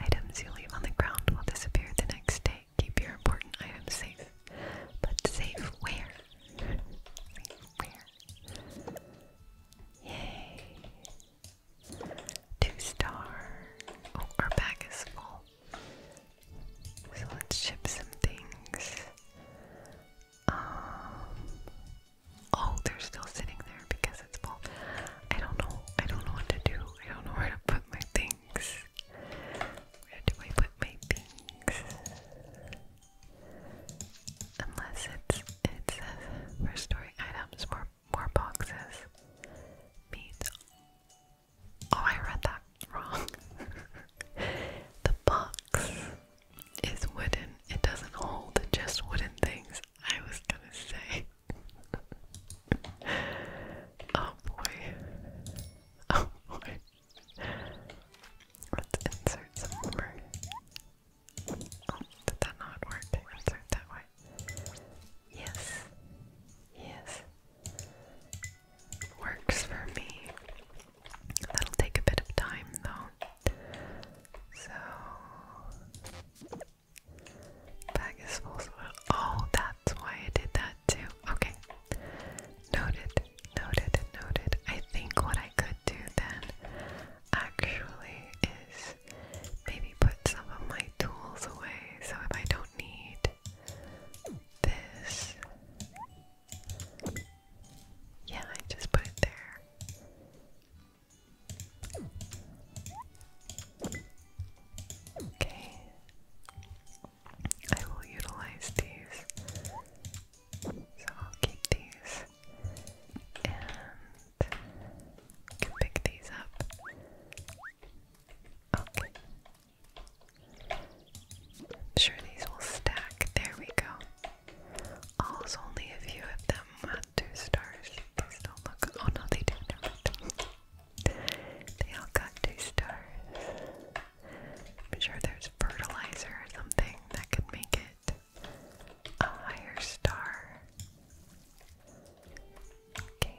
S1: Items you leave on the ground will disappear the next day. Keep your important items safe. But safe where? Yay! Two star. Oh, our bag is full. So let's ship some things. Um, oh, they're still sitting there because it's full. I don't know. I don't know what to do. I don't know where to put my things. Where do I put my things? Unless it's it says uh, restoring items, more more boxes, meat. Oh, I read that wrong. the box is wooden. It doesn't hold just wooden things. I was gonna say. oh boy. Oh boy. Let's insert some more. Oh, did that not work? Insert that way. Yes. Yes. Works for me. That'll take a bit of time though. So bag is full oh that's why I did that too. Okay. Noted, noted, noted. I think what I could do then actually is maybe put some of my tools away so if I don't do need this. Yeah, I just put it there. Okay. I will utilize these. So I'll keep these. And pick these up. I'm sure these will stack. There we go. All's oh, only a few of them at two stars. These don't look. Oh no, they do. Never they all got two stars. I'm sure there's fertilizer or something that could make it a higher star. Okay.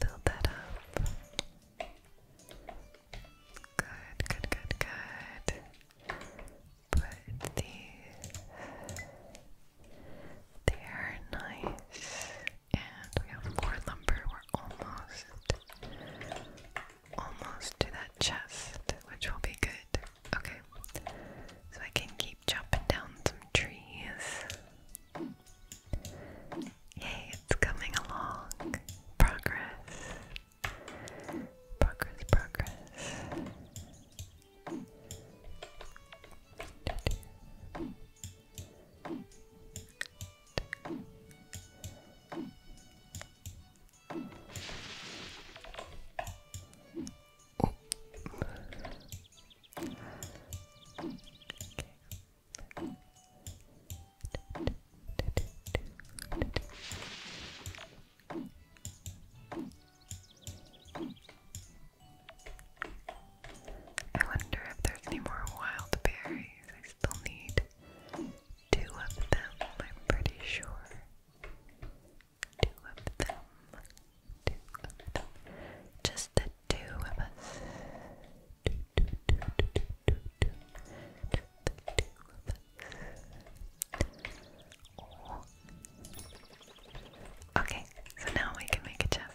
S1: Build that up. Good, good, good, good. Put these there, nice. And we have more lumber. We're almost, almost to that chest, which will be good. Okay, so I can keep keep chopping down some trees. Yay, it's coming along. Progress. Progress, progress. I wonder if there's any more wild berries. I still need two of them, I'm pretty sure. Two of them. Just the two of us. Okay, so now we can make a chest.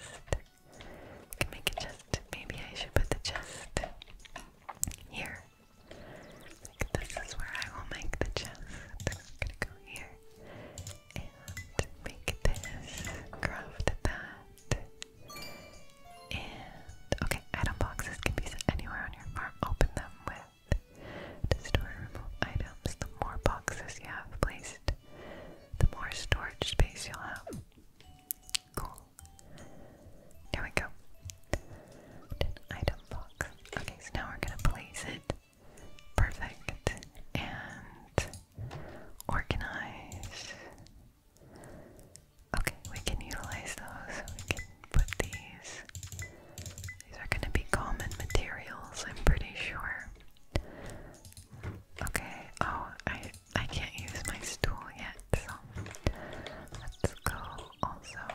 S1: can make a chest. Maybe I should put the chest here. this is where I will make the chest. I'm gonna go here and make this, craft that, and okay, item boxes can be anywhere on your farm. Open them with to store items. The more boxes you have placed, the more storage space you'll have. Cool. There we go. item box. Okay, so now we're gonna place it. Perfect. And organize. Okay, we can utilize those. We can put these. These are going to be common materials, I'm pretty sure. Okay, oh, I, I can't use my stool yet, let's go also.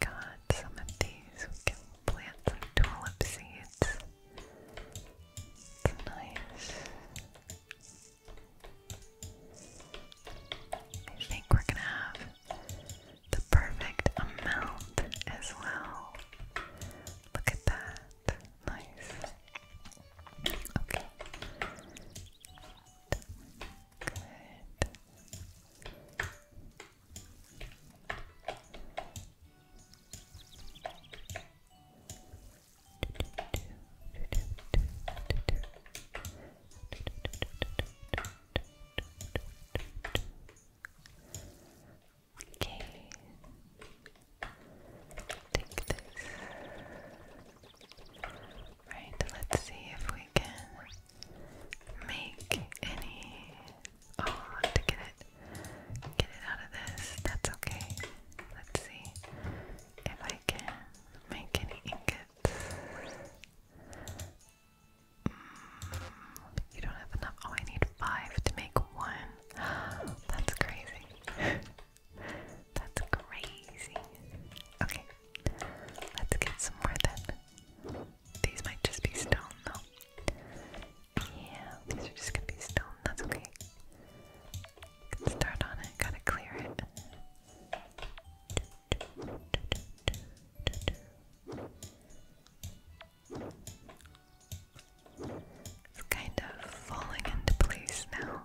S1: Got some of these we can plant some tulip seeds. It's nice. I think we're gonna have the perfect amount as well. Look at that. Nice. Okay. Good. Okay. Take this. Right, let's see if we can make any Oh, to get it, get it out of this. That's okay. Let's see if I can make any ingots. Mm, you don't have enough. Oh, I need five to make one. That's crazy. That's crazy. Okay, let's get some more then. These might just be stone though. Yeah, these are just gonna be stone. That's okay. Can start on it. Gotta clear it. It's kind of falling into place now.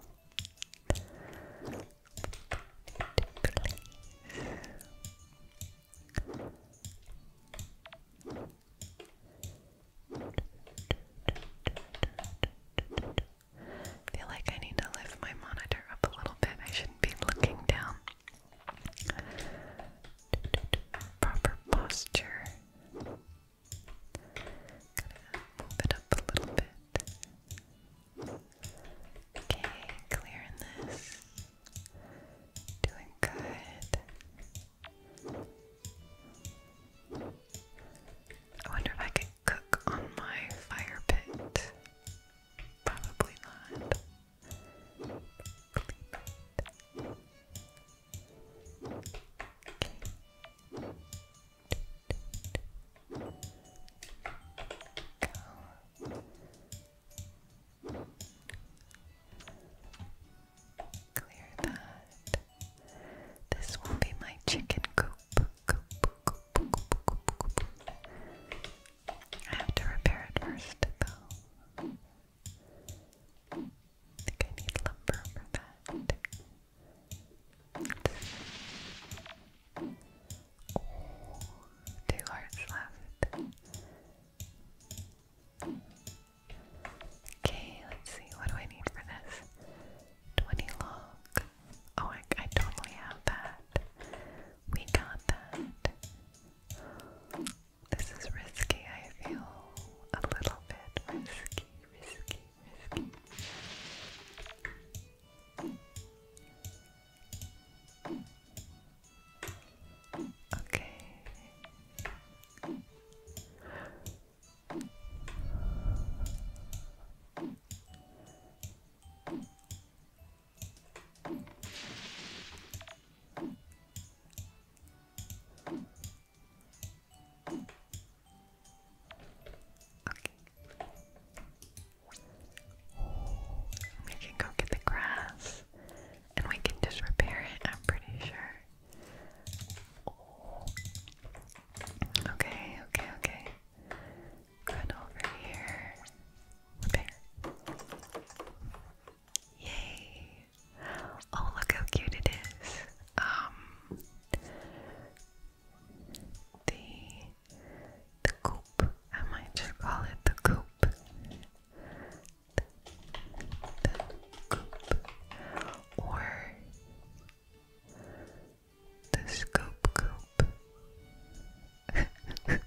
S1: I feel like I need to lift my monitor up a little bit. I shouldn't be looking down. Proper posture. move it up a little bit. Okay, clearing this. Doing good. I wonder if I can cook on my fire pit. Probably not. Clean Clear that. This will be my chicken coop. I have to repair it first, though. think I need lumber for that. Oh, two hearts left. Okay, let's see, what do I need for this? 20 log. Oh, I, totally have that. We got that. This is risky, I feel. A little bit risky, risky, risky. Okay. We can go get the grass and we can just repair it, I'm pretty sure. Oh. Okay, okay, okay. Run over here. There. Yay! Oh, look how cute it is. Um, the the coop. I might just call it the coop the scoop or the scoop coop the Hendon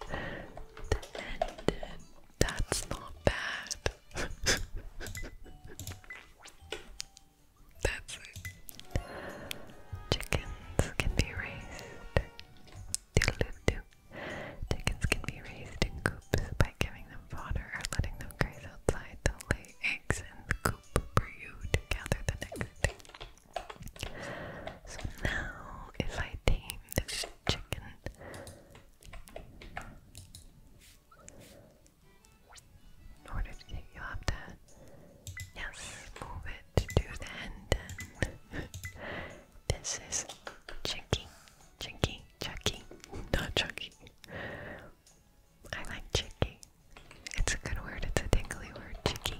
S1: the Hendon that's not bad that's chickens can be raised Doodle -doo -doo. Chickens can be raised in coops by giving them fodder or letting them graze outside. they lay eggs in the coop for you to gather the next So now, if I tame this chicken, in order to take you up to, yes, move it to the end. This is Chucky, Chucky, Chucky, not Chucky. I like Chucky. It's a good word, it's a tingly word, Chucky.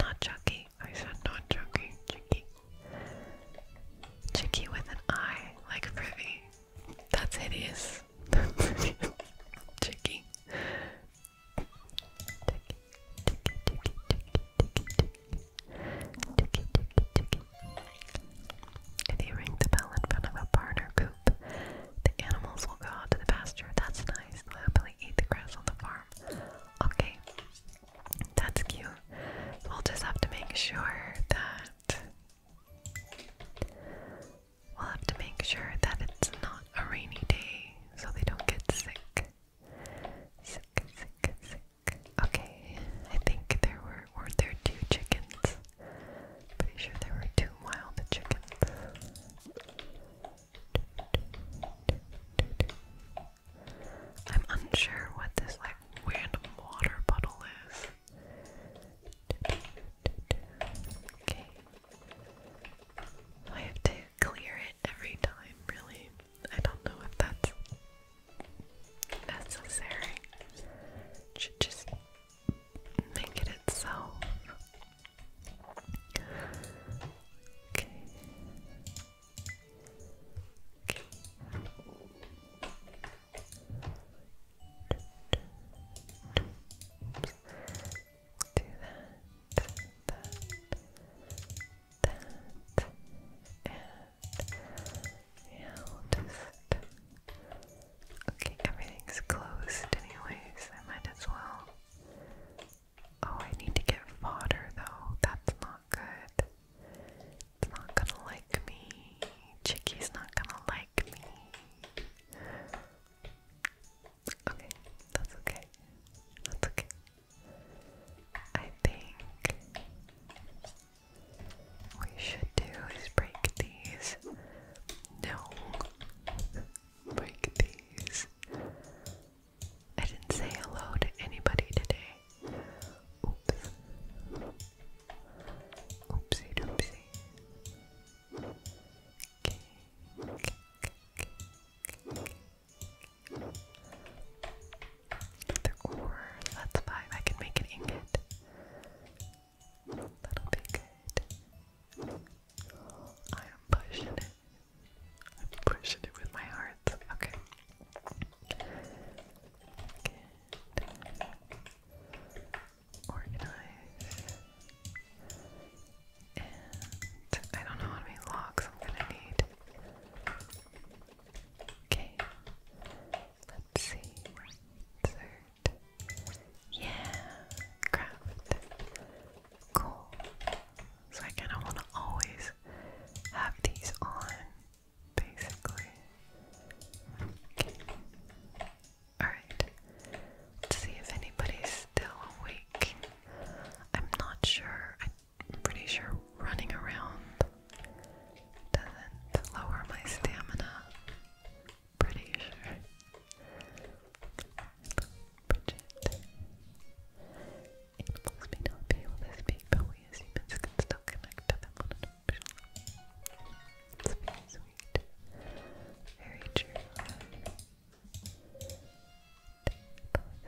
S1: Not Chucky, I said not Chucky, Chucky. Chucky with an I, like Privy. That's hideous. Chucky. Ticky, ticky, ticky, ticky, Tookie, If you ring the bell in front of a barn or coop, the animals will go out to the pasture. That's nice. They'll happily eat the grass on the farm. Okay, that's cute. We'll just have to make sure that we'll have to make sure that it's not a rainy day so they don't get sick. Sick, sick, sick. Okay, I think there were weren't there two chickens. Pretty sure there were two wild chickens. I'm unsure what this like random water bottle is. Okay. I have to clear it every time, really. I don't know if that's necessary. It should just make it itself. Okay. Okay. Do that, that, that, and just. Okay, everything's closed, anyways. I might as well. Oh, I need to get fodder though. That's not good. It's not gonna like me. Chicky's not gonna like me. Okay, that's okay. That's okay. I think we should do is break these. No, break these. I didn't say hello to anybody today. Oopsie doopsie. That's five. I can make an ingot. That'll be good. I am pushing it. I'm pushing it with my heart. Okay. Organize. And I don't know how many logs I'm gonna need. Okay. Let's see. Third. Yeah. Craft. Cool. So I kinda wanna always have these on, basically. Okay. Alright. Let's see if anybody's still awake. I'm not sure pretty sure running around doesn't lower my stamina. Pretty sure. Bridget. Animals may not able to speak, but we as humans still connect to very sweet. Very true. I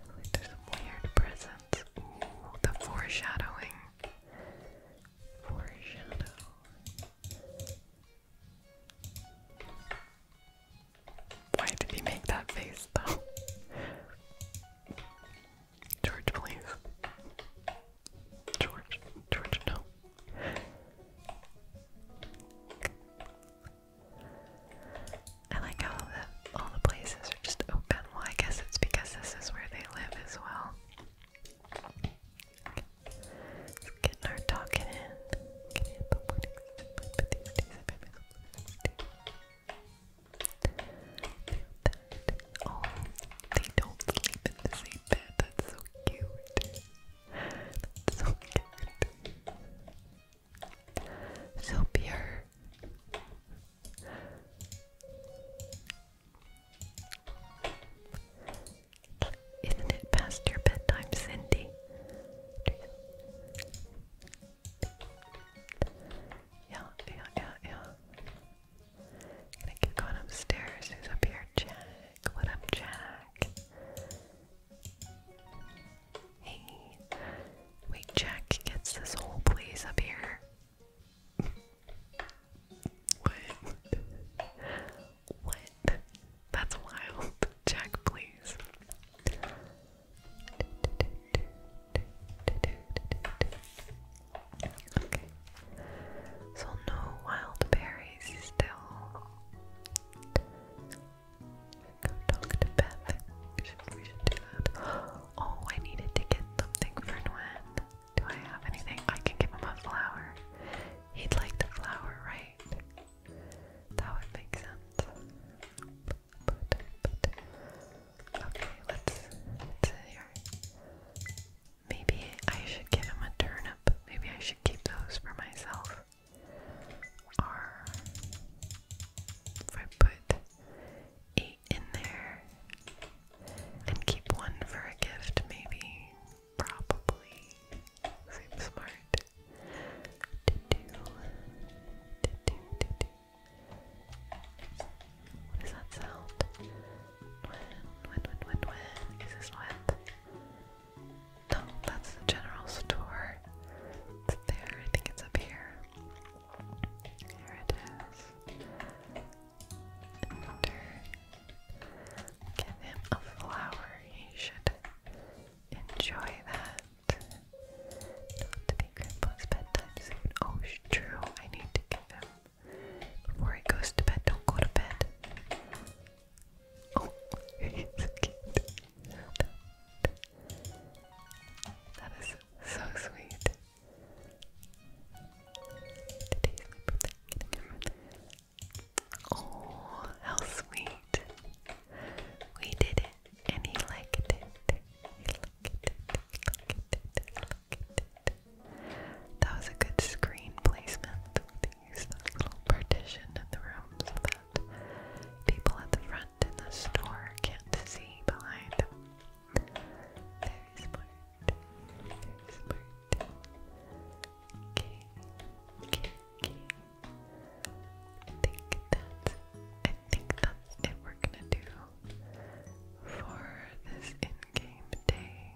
S1: feel like some weird presence the foreshadowing. Why did he make that face though? George, please. George, George, no. I like how all the places are just open. Well, I guess it's because this is where they live as well. let our talking in. Oh, they don't sleep in the same bed. That's so cute. so cute. So pure. Isn't it past your bedtime, Cindy? Yeah, yeah, yeah, yeah. Gonna keep going upstairs. Who's up here? Jack. What up, Jack? Hey. Wait, Jack gets this whole place up here what? what? That's wild. Jack, please. Okay. So no wild berries still. Go talk to Beth. Oh, I needed to get something for Nguyen. Do I have anything? I can give him a flower. He'd like the flower, right? That would make sense. okay, let's, Maybe I should give him a turnip. Maybe I should keep those for myself. Or if I put a in there and keep one for a gift, maybe. Probably. Seems smart. What does that sound? When, when, when, when, when? Is this what? No, that's the general store. It's there. I think it's up here. Here it is. Give him a flower. He should enjoy that. Not to be Grandpa's bedtime soon. Oh, true. I need to give him before he goes to bed. Don't go to bed. Oh, he's so cute. That is so sweet. Oh, how sweet. We did it and he liked it. He liked it. He liked it. He liked it. That was a good screen placement. They little partition in the room that people at the front in the store can't see behind very smart. Very smart. Okay. Okay. Okay. I think that's I think that's it we're gonna do for this in-game day.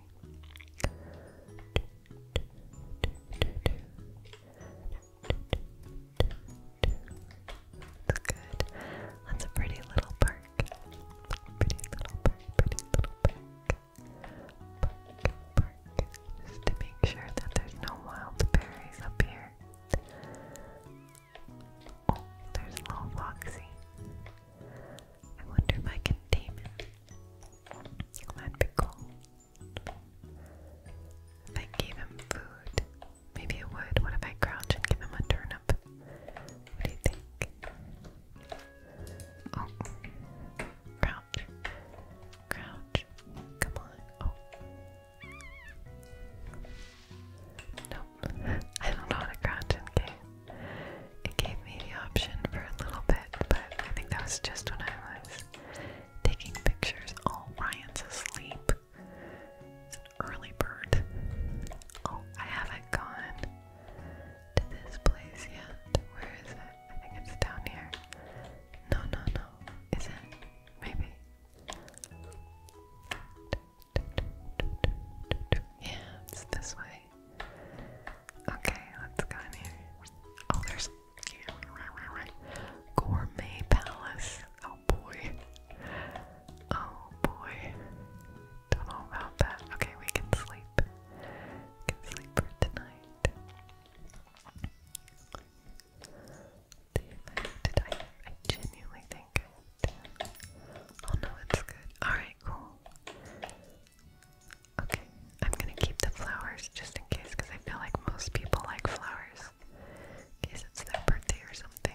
S1: That's good. That's a pretty little park. Pretty little park, pretty little park. Park, park. Just to make sure that there's no wild berries up here. Oh, there's little Foxy. I wonder if I can tame him. That'd be cool. If I gave him food, maybe it would. What if I crouch and give him a turnip? What do you think? Oh, crouch, crouch. Come on. Oh, nope. I don't know how to crouch in game. It gave me the option for a little bit, but I think that was just when I was taking pictures. Oh, Ryan's asleep early bird. Oh, I haven't gone to this place yet. Where is it? I think it's down here. No, no, no. Is it? Maybe. Yeah, it's this way. Okay, let's go in here. Oh, there's Gourmet Palace. Oh boy. Oh boy. Don't know about that. Okay, we can sleep. can sleep for tonight. Did I, I genuinely think Oh no, it's good. Alright, cool. Okay, I'm gonna keep the flowers just in case I feel like most people like flowers. In case it's their birthday or something.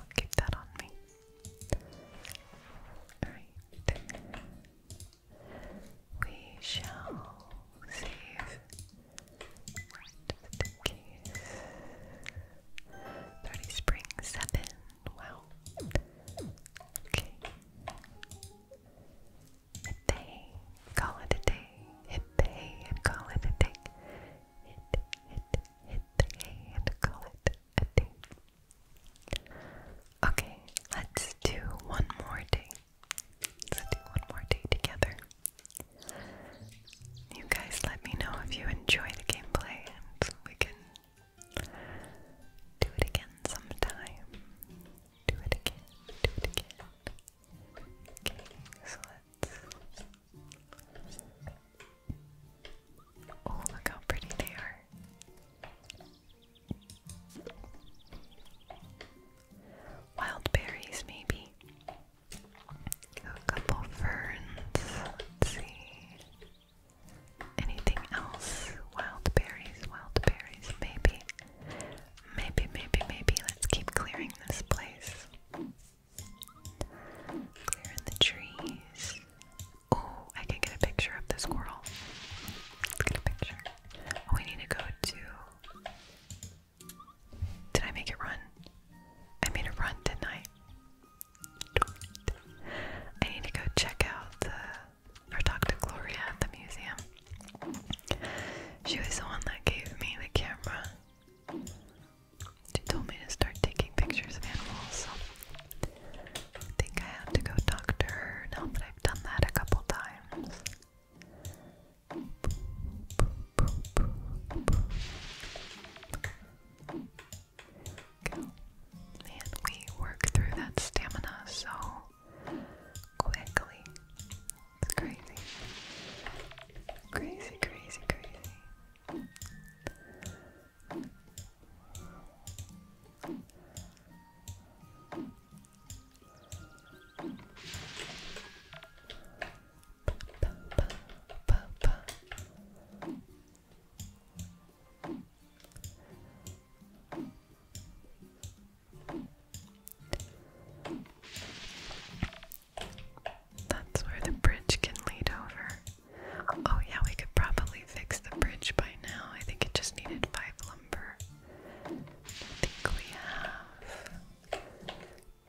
S1: I'll keep that on me. Alright. We shall save just in case. 30 spring 7. Wow. Okay. Hit day. Call it a day. Hit day and call it a day. Hit, hit, hit the hay and call it Okay, let's do one more day. Let's do one more day together. You guys let me know if you enjoy the gameplay and we can do it again sometime. Do it again, do it again. Okay, so let's Oh, look how pretty they are. Wild berries, maybe. A couple ferns. Let's see. Anything else? Wild berries, wild berries, maybe. Maybe, maybe, maybe. Let's keep clearing this place. Clearing the trees. Oh, I can get a picture of the squirrel. let get a picture. Oh, we need to go to. Did I make it run? I made it run, didn't I? I need to go check out the or Gloria at the museum. She was the one that gave me the camera. She told me to start taking pictures of animals. I think I have to go talk to her now that I've done that a couple times. And we work through that stamina so quickly. It's crazy. Crazy, crazy, crazy. That's where the bridge can lead over. Oh yeah, we could probably fix the bridge by now. I think it just needed five lumber. I think we have.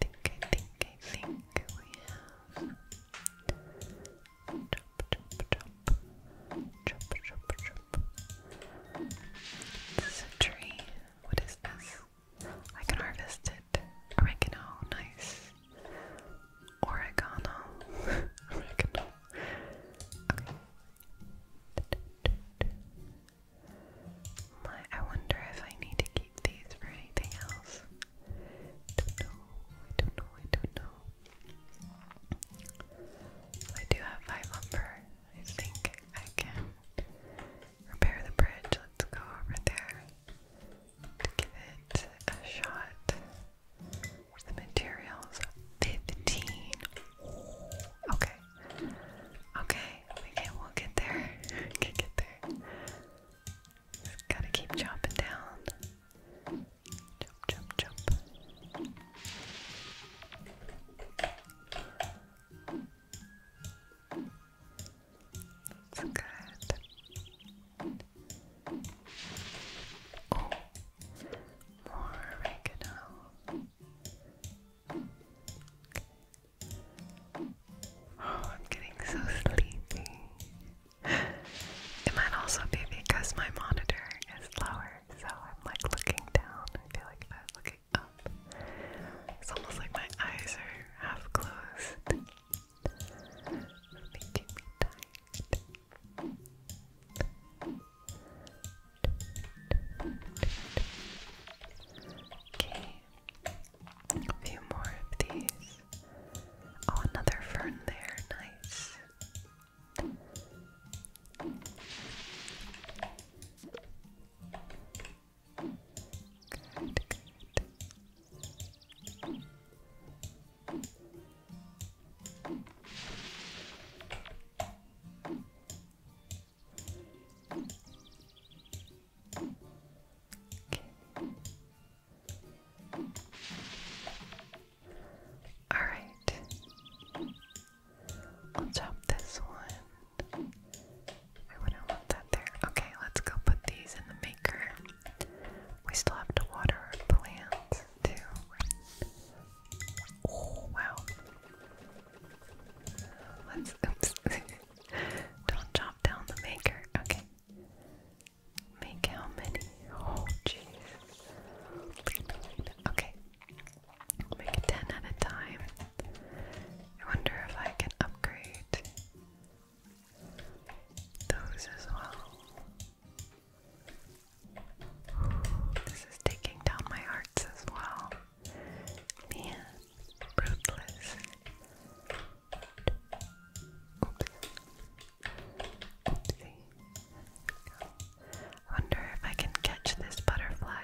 S1: think I think I think we have. Chop chop chop. Chop chop chop. This is a tree. What is this? I can harvest it. Oregano, nice. Oregano. I wonder if I need to keep these for anything else. Don't know. I don't know. I don't know. I do have five lumber. I think I can repair the bridge. Let's go over there to give it a shot. The materials 15. Okay. Okay. we'll get there. Can get there. gotta keep chopping down. Chop, chop, chop. That's good. Oh, more oregano. Oh, I'm getting so sleepy. It might also be because my monitor is lower, so I'm like looking down. I feel like I was looking up, it's almost like my eyes are half closed. Making me tired. Okay, a few more of these. Oh, another fern there, nice. All right, we'll chop this one. I wouldn't want that there. Okay, let's go put these in the maker. We still have to water our plants too. Oh wow. Let's Don't chop down the maker. Okay. Make how many? Oh jeez. Okay. Make it ten at a time. I wonder if I can upgrade those as well. This is taking down my hearts as well. Man, ruthless. wonder if I can catch this butterfly.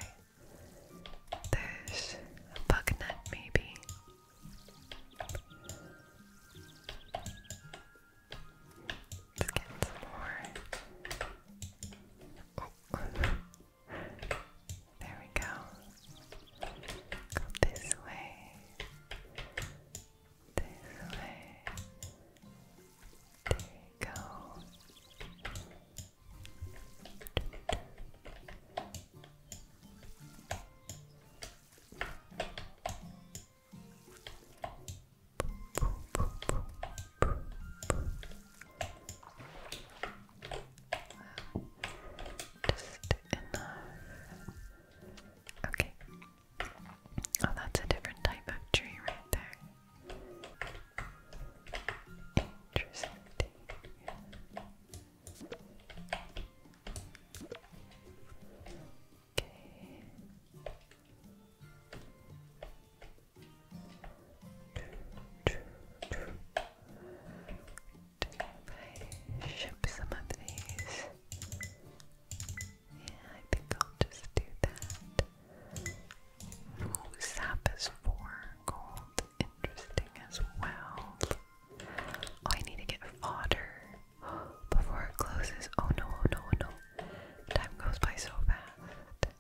S1: There's a bug nut, maybe let oh. there we go. Go this way. This way. There you go enough. Okay. Oh, that's a different type of tree right there. Interesting. Okay. I some of these? Yeah, I think I'll just do that. Ooh, is four gold. Interesting as well. Oh, I need to get fodder before it closes. Oh no, oh no, oh no, Time goes by so fast.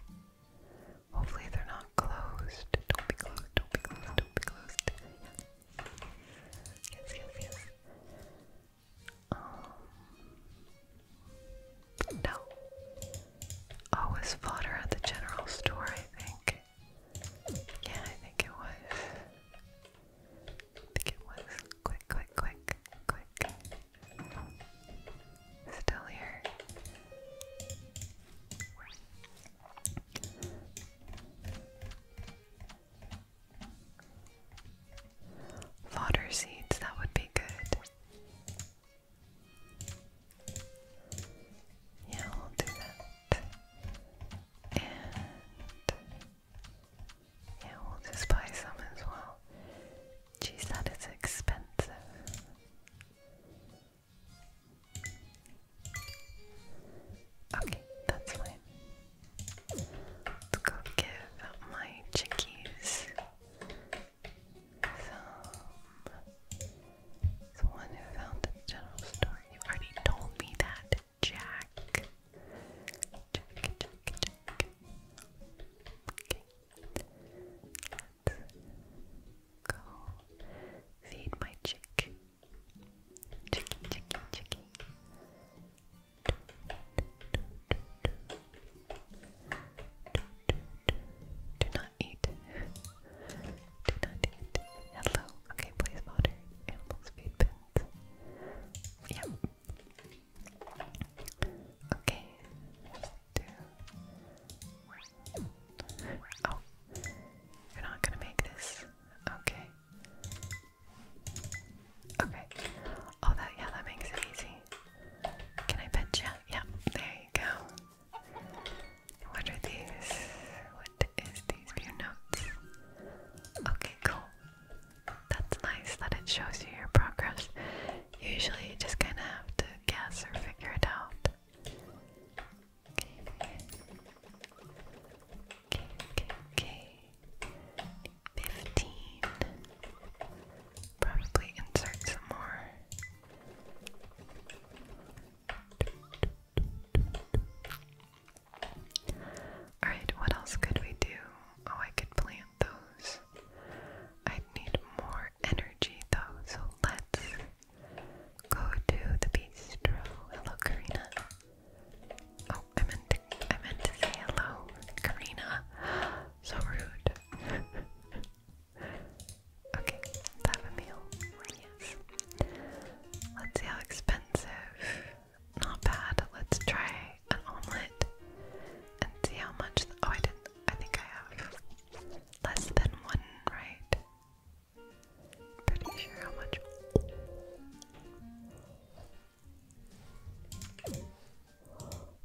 S1: Hopefully they're not closed. Don't be closed, don't be closed, don't be closed. Yes, yes, yes. Um, no. Oh, was fodder at the general store, I think. Yeah, I think it was. I think it was. Quick, quick, quick, quick. Still here. Fodder seeds, that would be good. Yeah, we'll do that. And yeah, we'll just buy some as well. Geez, that is expensive. Okay, that's fine. Let's go give my chickies some. the one who found the general store. You already told me that, Jack let go feed my chick. Chicky, chicky, chicky. Do not eat. Do not eat. Hello. Okay, please water. Animals feed pins. Yep, Okay. Two. Oh, you're not gonna make this. Okay. Okay. Oh, that yeah, that makes it easy. Can I pet you? Yeah. There you go. What are these? What is these? View notes. Okay, cool. That's nice that it shows you your progress. Usually you just kind of have to guess or figure it out. Okay. Okay, okay, Fifteen. Probably insert some more. Alright, what else could we do? Oh, I could plant those. I need more energy though, so let's go to the bistro. Hello, Karina. Oh, I meant to, say hello, Karina. So rude. okay, have a meal. Yes. Let's see how expensive. Not bad. Let's try an omelet and see how much. oh, I didn't I think I have less than one right. Pretty sure how much.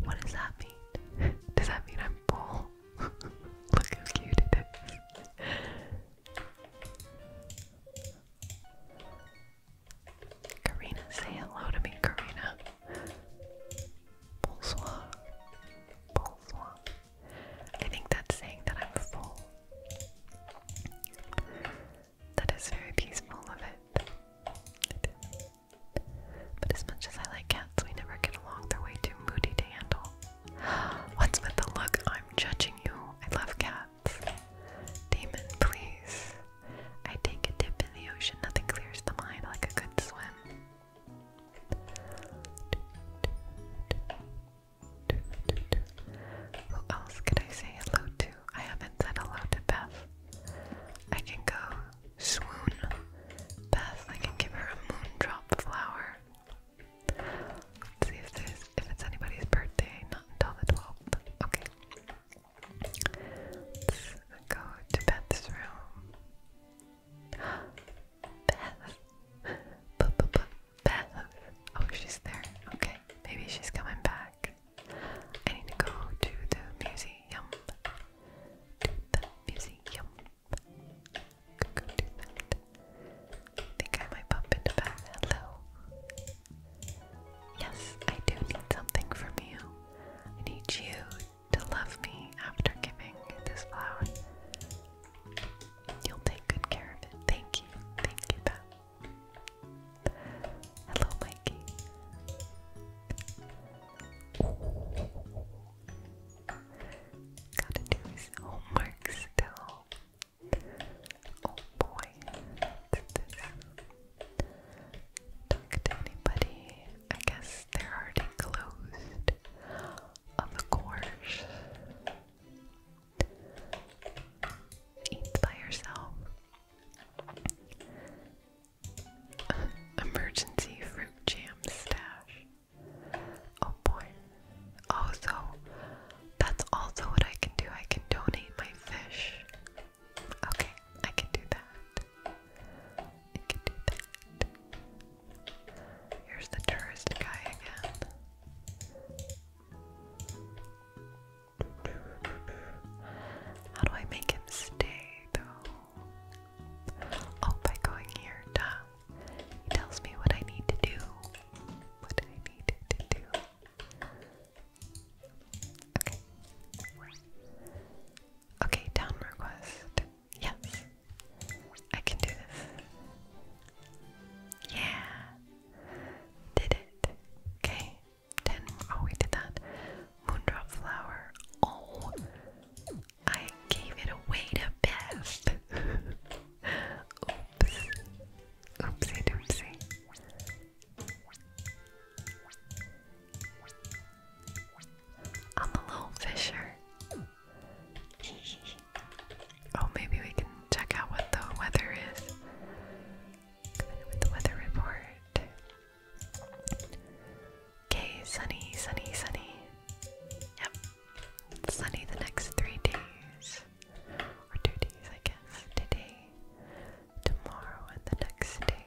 S1: What does that mean? Does that mean I'm full? Look how cute it is. Karina, say hello to me, Karina. Bonsoir. Bonsoir. I think that's saying that I'm full. That is very peaceful of it. But as much as I like cats, we never get along. They're way too moody to handle. What's with the look? I'm judging you. I love cats. Demon, please. I take a dip in the ocean, nothing clears the mind like a good swim. Who else could I say hello to? I haven't said hello to Beth. I can go swoon Beth. I can give her a moondrop flower. Let's see if there's if it's anybody's birthday. Not until the twelfth. Okay go to Beth's room. Beth. Beth. Oh, she's there. Okay, maybe she's coming back. I need to go to the museum. the museum. Go do that. I think I might bump into Beth. Hello. Yes, I do need something from you. I need you to love me after giving this flower. You'll take good care of it. Thank you. Thank you, Beth. Hello, Mikey. Gotta do his homework still. Oh boy talk to anybody. I guess they're already closed. Of course. Eat by yourself. Emergency fruit jam stash. Oh boy. Oh, that's also what I can do. I can donate my fish. Okay, I can do that. Here's the tourist guy again. How do I make him stay though? Oh, by going here, duh. He tells me what I need to do. What I need to do. Okay, down request. Yes, I can do this. Yeah, did it. Okay, ten. Oh, we did that. Moondrop flower. Oh, I gave it away to Beth. Oops. Oopsie doopsie. I'm a little fisher. oh, maybe we can check out what the weather is. with the weather report. Okay, sunny, sunny, sunny. Yep. sunny the next three days. Or two days, I guess. Today, tomorrow, and the next day.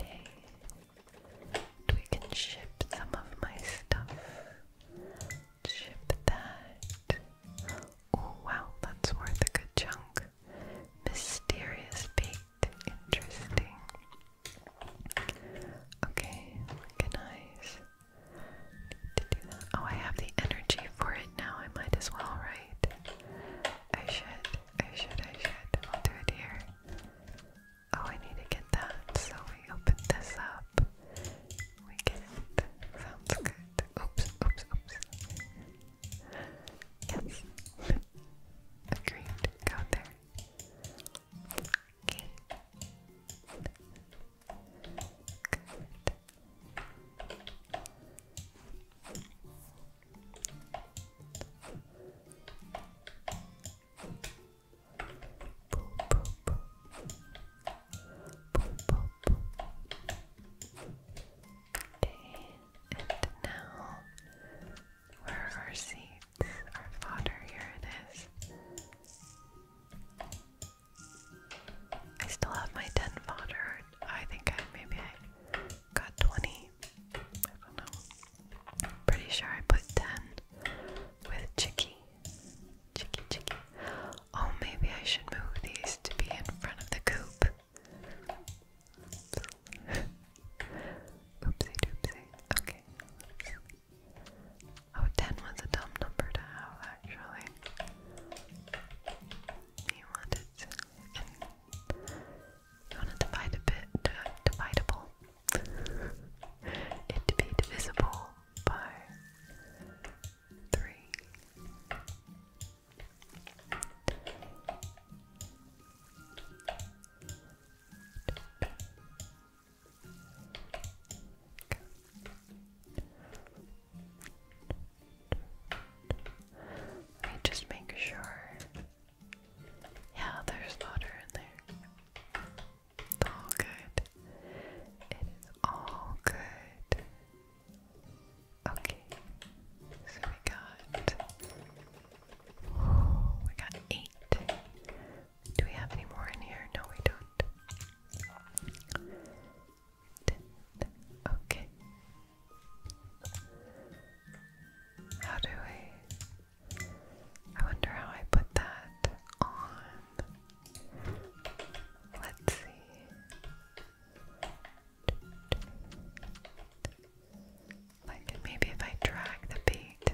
S1: Okay. We can ship some of my stuff. Ship that. Oh wow, that's worth a good chunk. Mysterious bait. Interesting. Okay, organize. Need to do that. Oh, I have the energy for it now. I might as well, right? I should. I should. I should. I'll do it here. Oh, I need to get that. So we open this up. We get Sounds good. Oops, oops, oops. Yes. Agreed. Go there. Okay and now where are our Our fodder, here it is. I still have my 10 fodder. I think I maybe I got 20. I don't know. I'm pretty sure I put 10 with Chicky. Chicky, Chicky. Oh, maybe I should move these to be in front of the coop. Oopsie doopsie. Okay. Oh, was a dumb number to have, actually. He wanted you want to divide a bit, uh, it to be divisible by three. Let just make sure yeah, there's water in there. It's all good. It is all good. Okay. So we got we got eight. Do we have any more in here? No, we don't. Okay. How do we I wonder how I put that on. Let's see. Like maybe if I drag the bait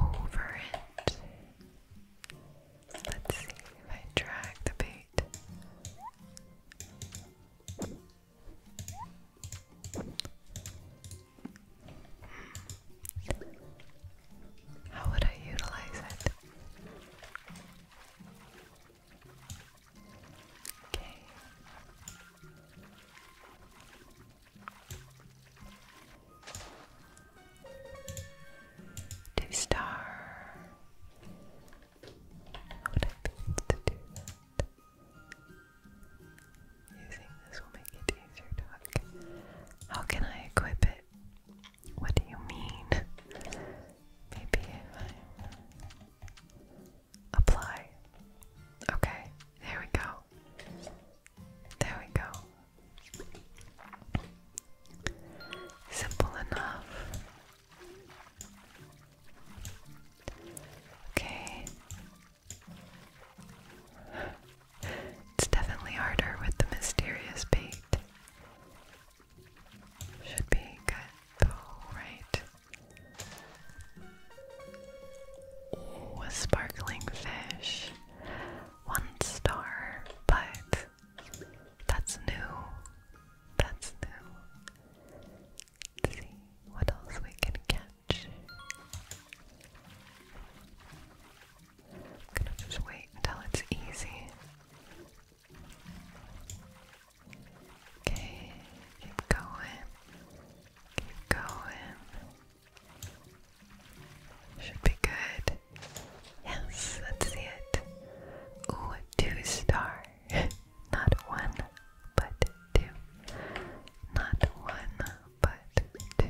S1: over it. Let's see if I drag the bait. How would I utilize it? Okay. Two star. would I be able to do that? Using this will make it easier to hook. How can I equip it? What do you mean? Maybe apply. Okay, there we go. There we go. Simple enough. Okay, it's definitely harder with the mysterious bait. Should be good right? Ooh, a sparkling fish. One star, but that's new. That's new. see what else we can get much. gonna just wait until it's easy. Okay, keep going. Keep going. Should be good. Yes, let's see it. Ooh, two star. Not one but two. Not one, but two.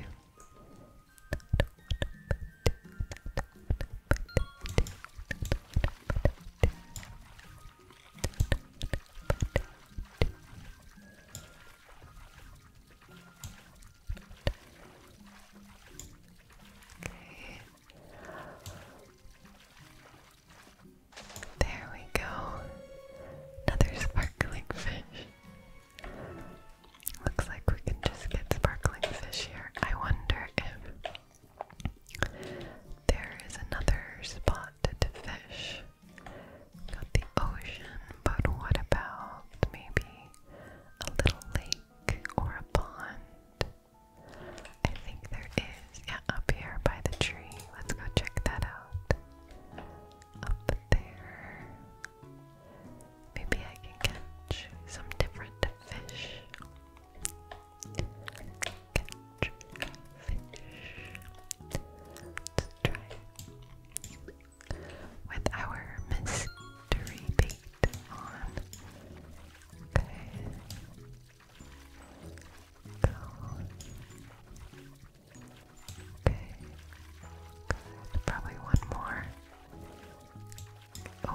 S1: Okay. There we go. Another sparkling fish. Looks like we can just get sparkling fish here. I wonder if there is another spot to fish. Got the ocean, but what about maybe a little lake or a pond? I think there is. Yeah, up here by the tree. Let's go check that out up there. Maybe I can catch some different fish. Catch fish. Let's try with our mystery bait on. Go. Okay. Probably one more. Oh,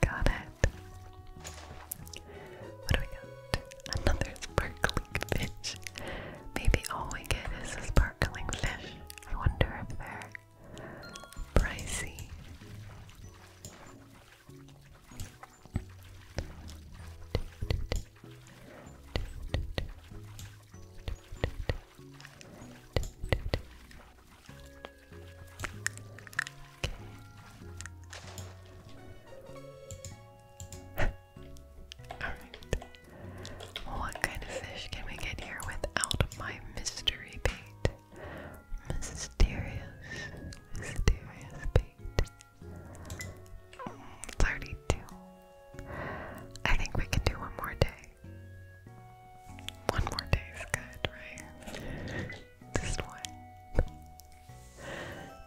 S1: got it. What do we got? Another sparkling fish. Maybe all we get is a sparkling fish. I wonder if they're pricey. Alright. What kind of fish can we get here without my mystery bait? Mysterious, mysterious bait. 32. I think we can do one more day. One more day is good, right? Just one.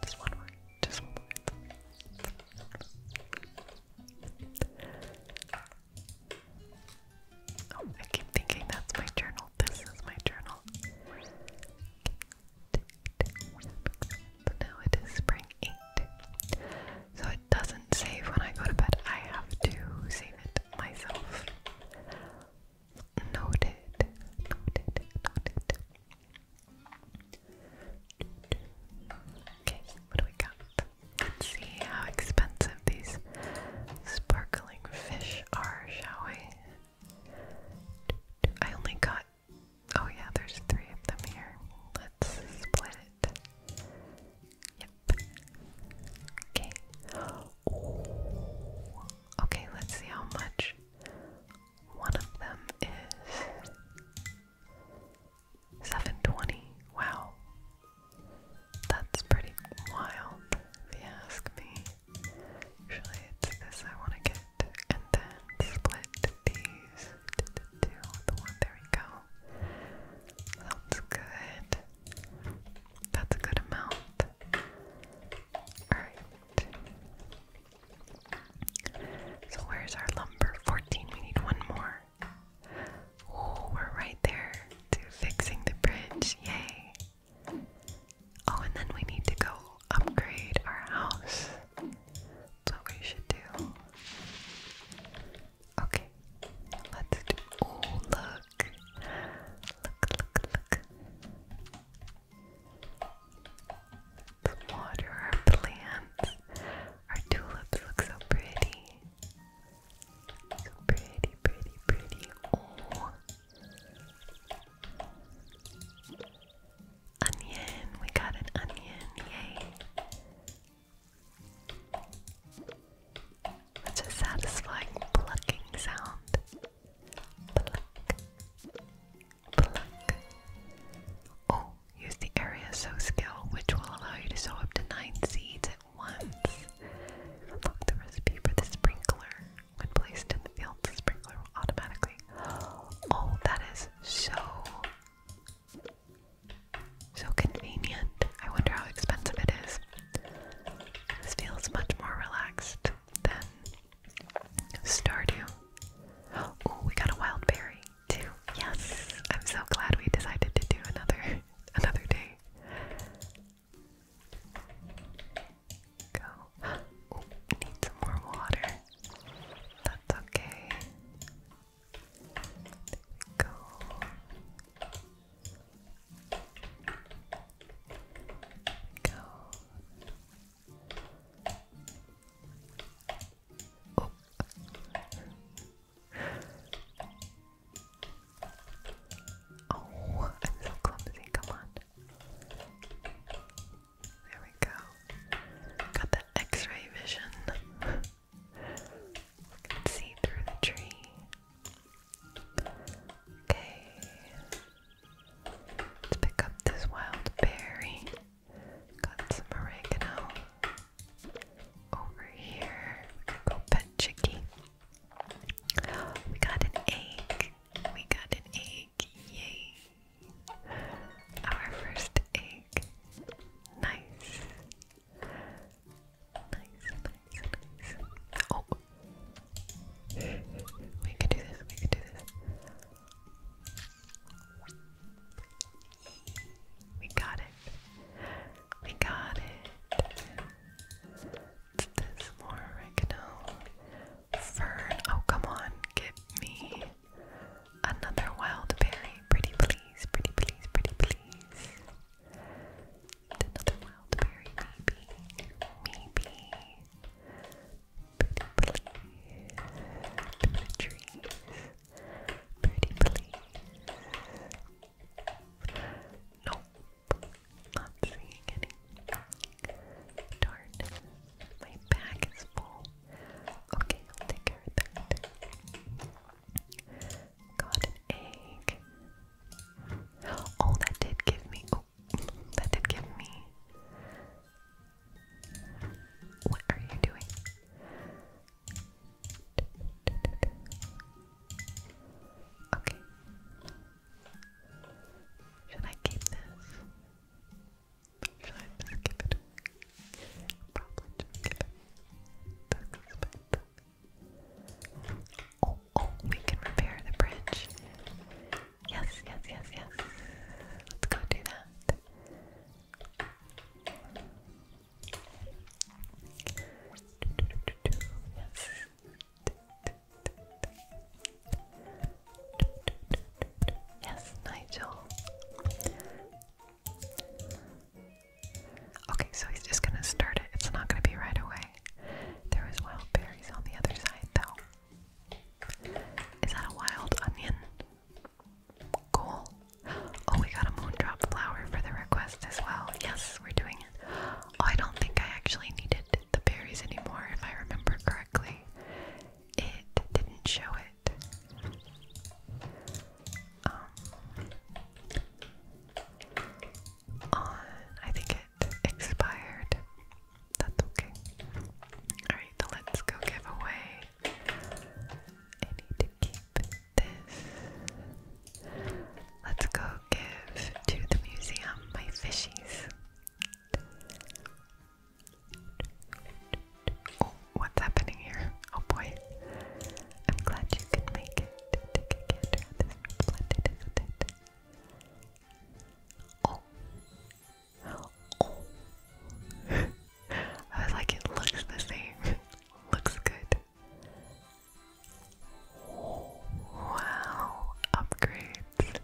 S1: Just one more. Just one more. Oh, I keep thinking that's my journal. This is my journal. So now it is spring 8. So it doesn't save when I go to bed. I have to save it myself. Noted. Noted. Noted. Okay, what do we got? Let's see how expensive these sparkling fish are, shall we? I only got Oh, yeah, there's three of them here. Let's split it. Yep. Okay. Okay, let's see how much one of them is. 720. Wow. That's pretty wild, if you ask me. Usually this I want to get, and then split these two, one, there we go. That's good. That's a good amount. Alright. So where's our lumber? 14, we need one more. Oh, we're right there to fixing the bridge. Yay. Oh, and then we need to go upgrade our house. That's we should do. Okay, let's do. Oh, look. Look, look, look. let water our plants. Our tulips look so pretty. So pretty, pretty, pretty. Oh. Onion, we got an onion, yay. It's a satisfying plucking sound. Pluck, pluck. Oh, use the area sow skill, which will allow you to sow up to nine seeds at once. Unlock the recipe for the sprinkler. When placed in the field, the sprinkler will automatically. Oh, that is so so convenient. I wonder how expensive it is. This feels much more relaxed than Stardew. Oh, we got a wild berry too. Yes, I'm so glad we decided to do another another day. Go. need some more water. That's okay. There we go. Go. Oh. I'm so clumsy. Come on. There we go. Got that X-ray vision see through the tree. Okay. Let's pick up this wild berry. Got some oregano over here. We go pet Chicky. We got an egg. We got an egg. Yay. Our first egg. Nice. Nice, nice, Oh! We can do this, we can do this. We got it. We got it. this more oregano. Fern. Oh, come on. get me Another wild berry. Pretty please, pretty please, pretty please. Another wild berry, maybe. Maybe. Pretty please. the trees. Pretty please. Nope. Not seeing any. Darn. My bag is full. Okay, I'll take care of that. Got an egg. Oh, that did give me. Oh, that did give me. What are you doing? Okay. Should I keep this? Should I just keep it? Oh, oh, we can repair the bridge. Yes, yes, yes, yes. Let's go do that. Yes. Yes, Nigel. Okay, so he's just gonna start it. It's not gonna be right away. There is wild berries on the other side, though. Is that a wild onion? Cool. Oh, we got a moondrop flower for the request as well. Yes, we're doing it. Oh, I don't think I actually needed the berries anymore, if I remember correctly. It didn't show it. Um, on, I think it expired. That's okay. Alright, the Let's Go giveaway. I need to keep this. Let's go give to the museum my fishies. Oh, what's happening here? Oh boy. I'm glad you can make it. Oh. Oh. I was like, it looks the same. looks good. Wow. Upgrades.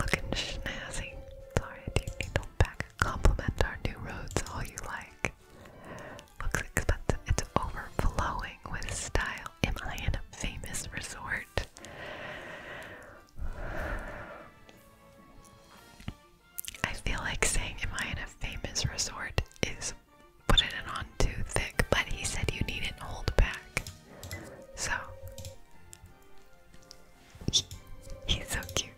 S1: Looking snazzy. Sorry, I do need to back Complement our new roads all you like. Looks expensive. It's overflowing with style. Am I in a famous resort? I feel like saying am I in a famous resort is putting it on too thick, but he said you needn't hold back. So he's so cute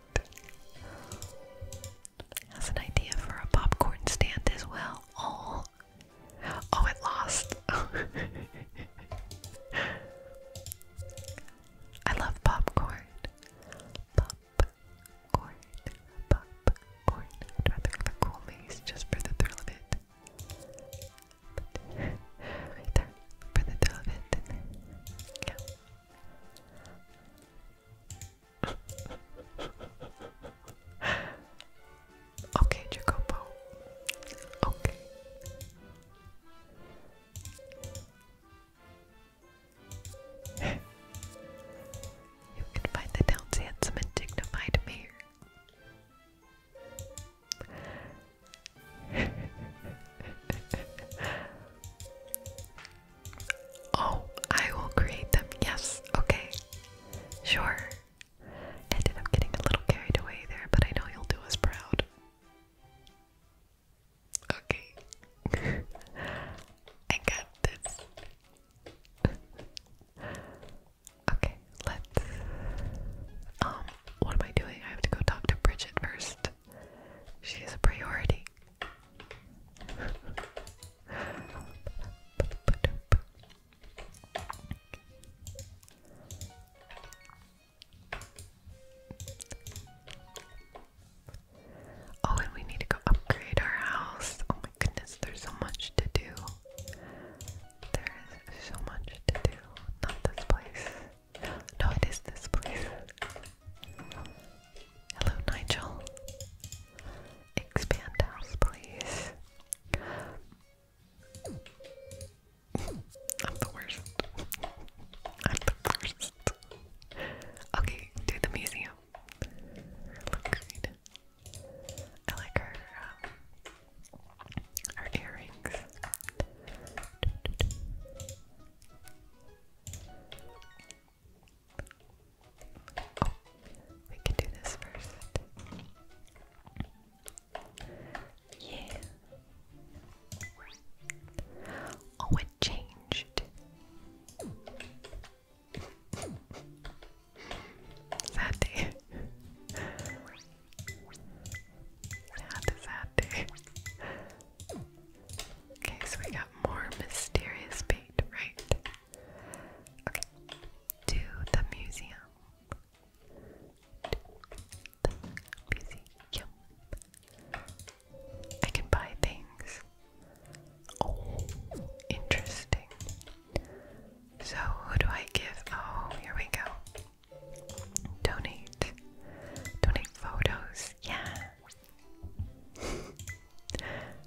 S1: has an idea for a popcorn stand as well. Oh, oh, it lost. I love popcorn. Popcorn, popcorn. rather have a cool just for the thrill of it. for the thrill of it okay, Jacopo. Okay. you can find the town's handsome and dignified me. Oh, I will create them. Yes, okay. Sure. ended up getting a little carried away there, but I know you'll do us proud. Okay. I got this. okay, let's. Um, what am I doing? I have to go talk to Bridget first. She is a priority. Oh, and we need to go upgrade our house. Oh my goodness, there's so much to do. There is so much to do. Not this place. No, it is this place. Hello, Nigel. Expand house, please. I'm the worst. I'm the worst. Okay, do the museum. Look great. I like her, um, earrings we can do this first. Yeah. Oh, it changed. Sad day. Sad, Okay, so we got more mysterious bait, right? Okay. To the museum. the museum. I can buy things. Oh, interesting. So, who do I give? Oh, here we go. Donate. Donate photos. Yeah,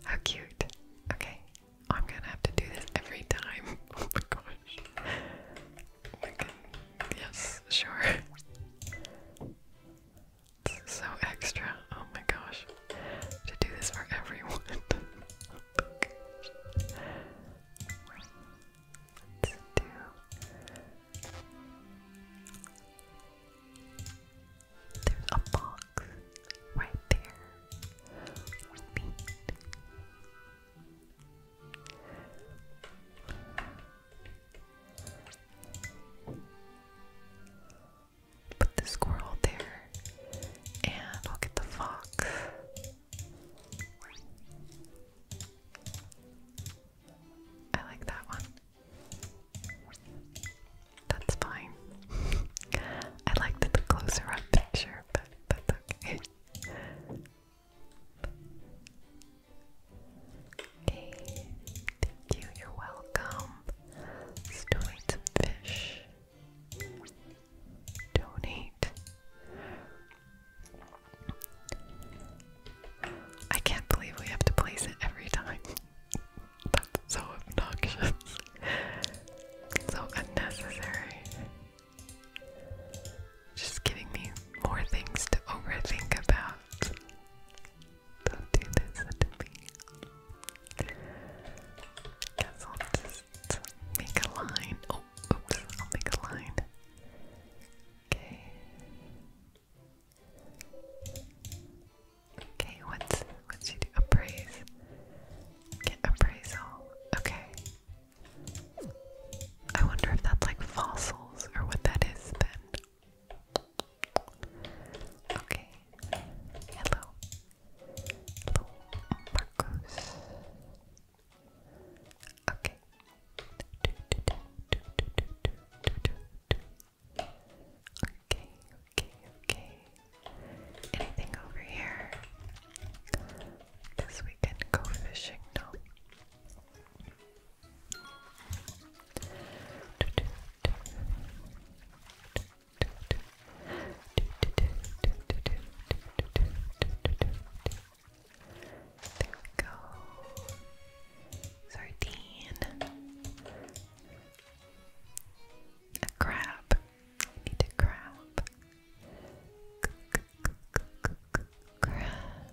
S1: how cute. Okay, I'm gonna have to do this every time. Oh my gosh. Oh yes, sure. so extra. Oh my gosh. To do this for everyone. Oh there's a box right there Put the squirrel there, and I'll get the fox. I like that one. That's fine. I liked the closer up picture, but that's okay. Okay, thank you, you're welcome. Donate fish. Donate. I can't believe we have to place it every time. That's so obnoxious. so unnecessary. Just giving me more things to overthink about. Don't do this to me. Guess I'll just make a line. Oh, oops, I'll make a line. Okay. Okay, what's what's she do? Appraise. Get appraisal. Okay. I wonder if that's like fossils or what that is then. Okay. Hello, Marcos. Okay. Okay, okay, okay. Anything over here? Guess we can go fishing now. There we go. Sardine. A crab. need a crab. Crab.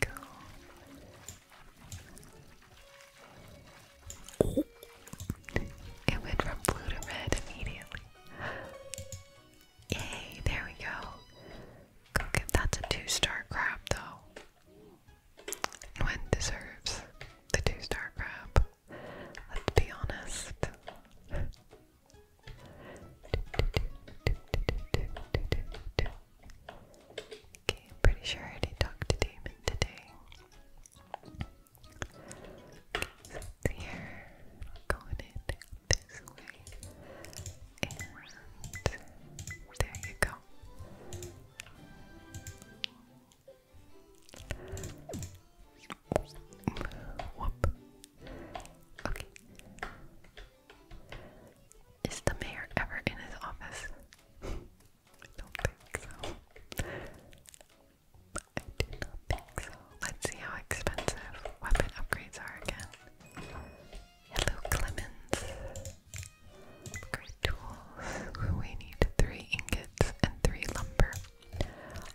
S1: Go. It went from blue to red immediately. Yay, there we go. that's a two-star crab though. Nguyen deserves the two star grab. Let's be honest. Okay, I'm pretty sure I already talked to Damon today. so here, going in this way, and there you go. Is the mayor ever in his office? I don't think so. I do not think so. Let's see how expensive weapon upgrades are again. Hello, Clemens. Upgrade tools. We need three ingots and three lumber.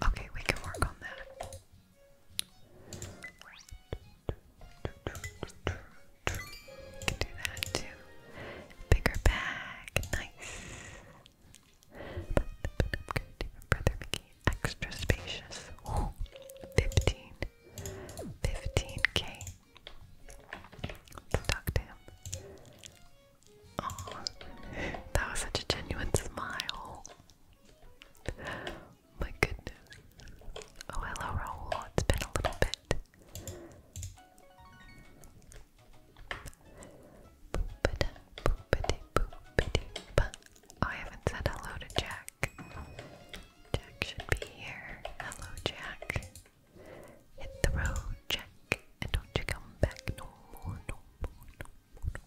S1: Okay, we can work on that. can do that too. Bigger bag, nice. extra spacious. Ooh, k Let's Oh, that was such a genuine smile. My goodness. Oh, hello, Raul. It's been a little bit. I haven't said hello to Jack. Jack should be here. Hello, Jack. Hit the road, Jack, and don't you come back no more, no more, no more, no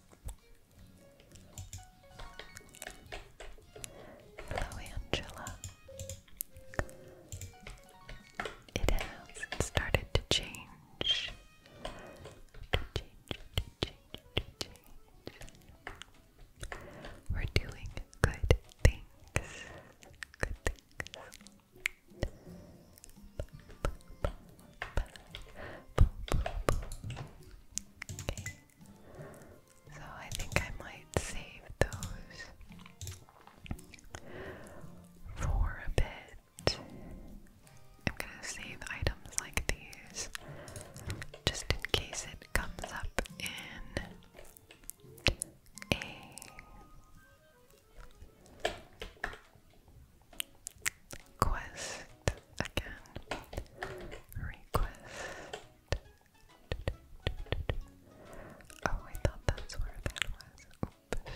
S1: more. Hello, Angela. It has started to change. We're doing good things. Good things. So I think I might save those for a bit. I'm gonna save items like these just in case it comes up in a Quest again. Request. Oh, I thought that's where that was.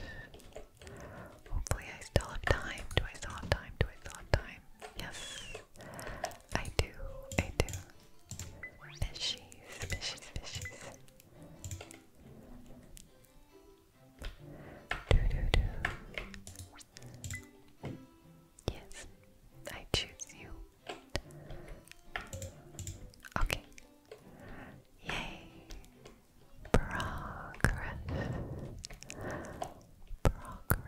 S1: Hopefully, I still have time. Do I still have time? Do I still have time? Yes, I do. I do. Fishies, fishies, fishies. Yes, I choose you. Okay. Yay. Progress. Progress.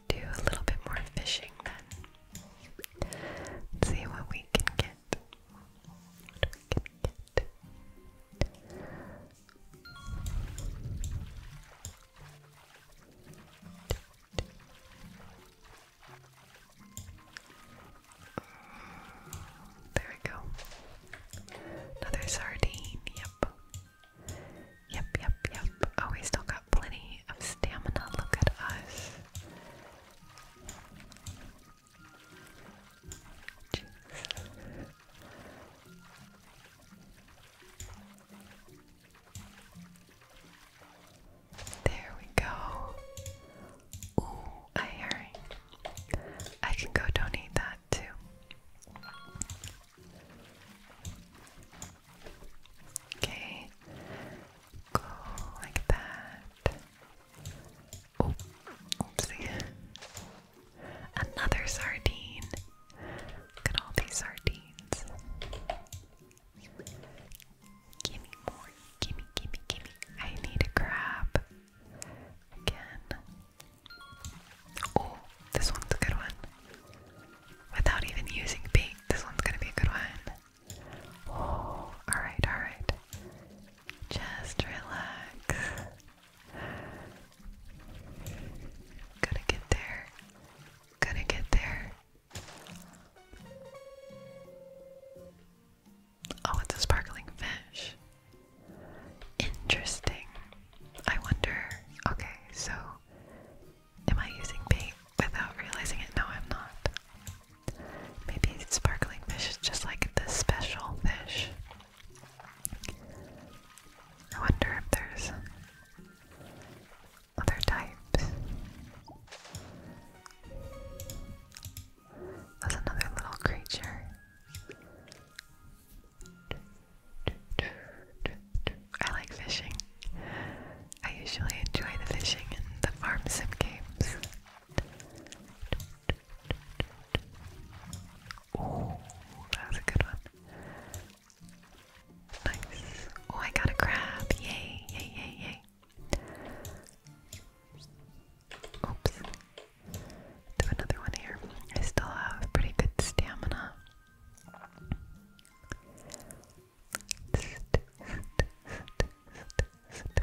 S1: let do a little bit more fishing then. see What we can get. There we go. Another sardine, yep. Yep, yep, yep. Oh, we still got plenty of stamina. Look at us. There we go. Ooh, a herring. I can go donate that too. Okay. Go like that. Oh, oopsie. Another sardine. Look at all these sardines. Gimme more. Gimme, gimme, gimme. I need a crab. Again. Oh, this one's a good one. Without even using bait, this one's gonna be a good one. Oh, alright, alright. Just relax. Gotta get there. Gotta get there. Oh, it's a sparkling fish. Interesting. I wonder. Okay, so Am I using bait without realizing it? No, I'm not. Maybe sparkling fish is just like the special fish. I wonder if there's other types. That's another little creature. I like fishing. I usually enjoy the fishing and the farm sim games. Oh, that was a good one. Nice. Oh, I got a crab. Yay, yay, yay, yay. Oops. Do another one here. I still have pretty good stamina little bit there. Stop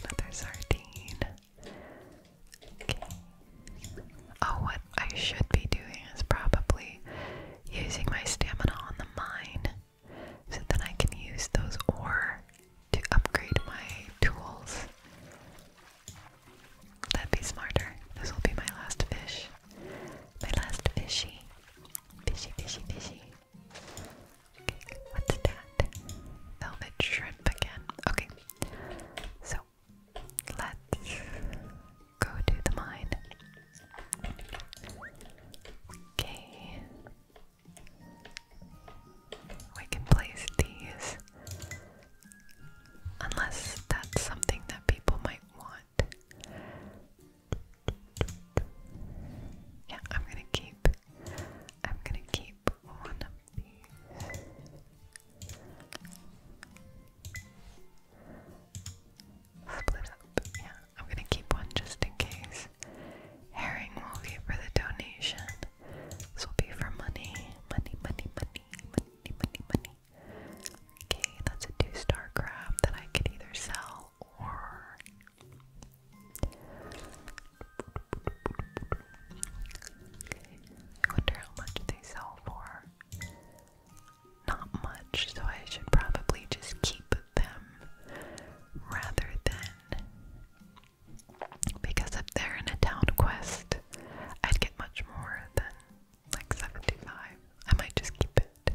S1: it there. Another sardine. Okay. Oh, what I should be doing is probably using my stamina on the mind so then I can use those ore to upgrade my tools. That'd be smarter. This will be my last fish. My last fishy. Fishy, fishy, fishy. Okay, what's that? Velvet shrimp again. Okay, so let's go to the mine. Okay, we can place these. Unless that's something that people might want. Yeah, I'm gonna keep. I'm gonna keep one of these. Split up. Yeah, I'm gonna keep one just in case thanks. Herring will be for the donation. This will be for money. Money, money, money, money, money, money. Okay, that's a two star crab that I could either sell or. I wonder how much they sell for. Not much, so I should probably just keep them rather than because up there in a town quest, I'd get much more than like 75. I might just keep it.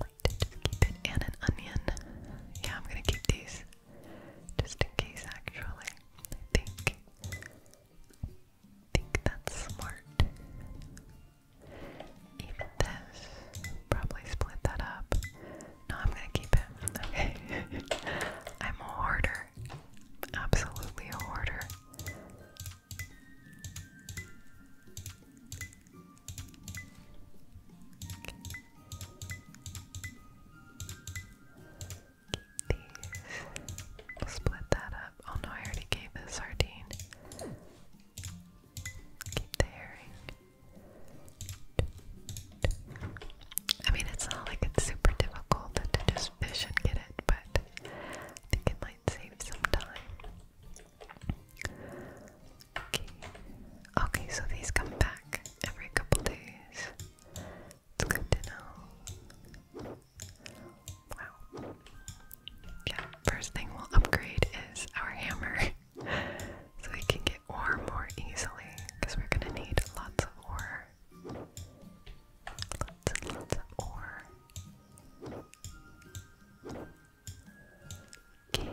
S1: Might just keep it. And an onion. Yeah, I'm gonna keep these. Just in case, actually. I think. think that's smart even this. Probably split that up. No, I'm gonna keep it. Okay. I'm a hoarder. Absolutely a hoarder. Keep these. We'll split that up. Oh no, I already gave this sardine. Keep the herring. I mean, it's not like it's super difficult to just fish and get it, but I think it might save some time. Okay, okay so these come back every couple days. It's good to know. Wow. Yeah, first thing we'll upgrade is our hammer. so we can get ore more easily because we're gonna need lots of ore. Lots and lots of ore. Okay.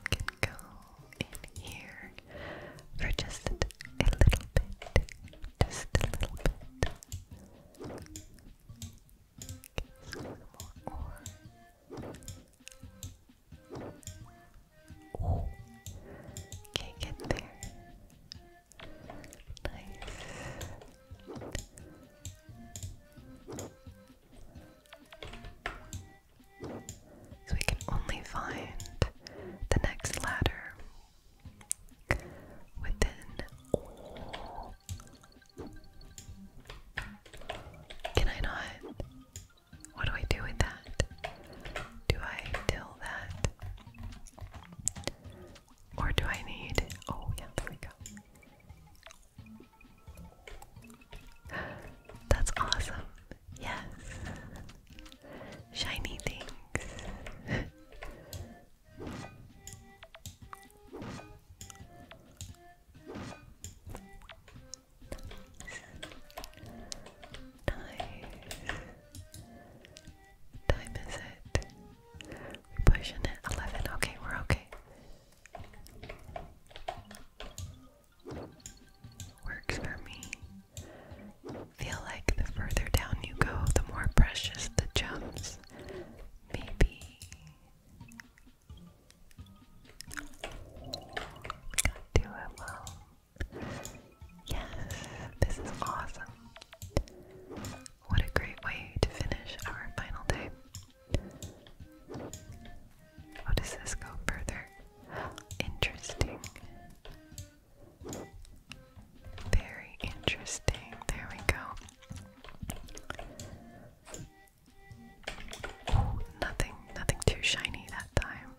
S1: Can go in here for just a little bit. Just a little bit. Okay, get there. Nice. So we can only find the next ladder within Can I not? What do I do with that? Do I till that? Or do I need. Oh, yeah, there we go. That's awesome. Yes. Shiny things. Time is it? pushing it. Eleven. Okay, we're okay. Works for me. Feel like the further down you go, the more precious the gems. Maybe. Got it well. Yes, this is awesome. What a great way to finish our final day. How does this go further? Interesting. Very interesting. There we go nothing, nothing too shiny that time.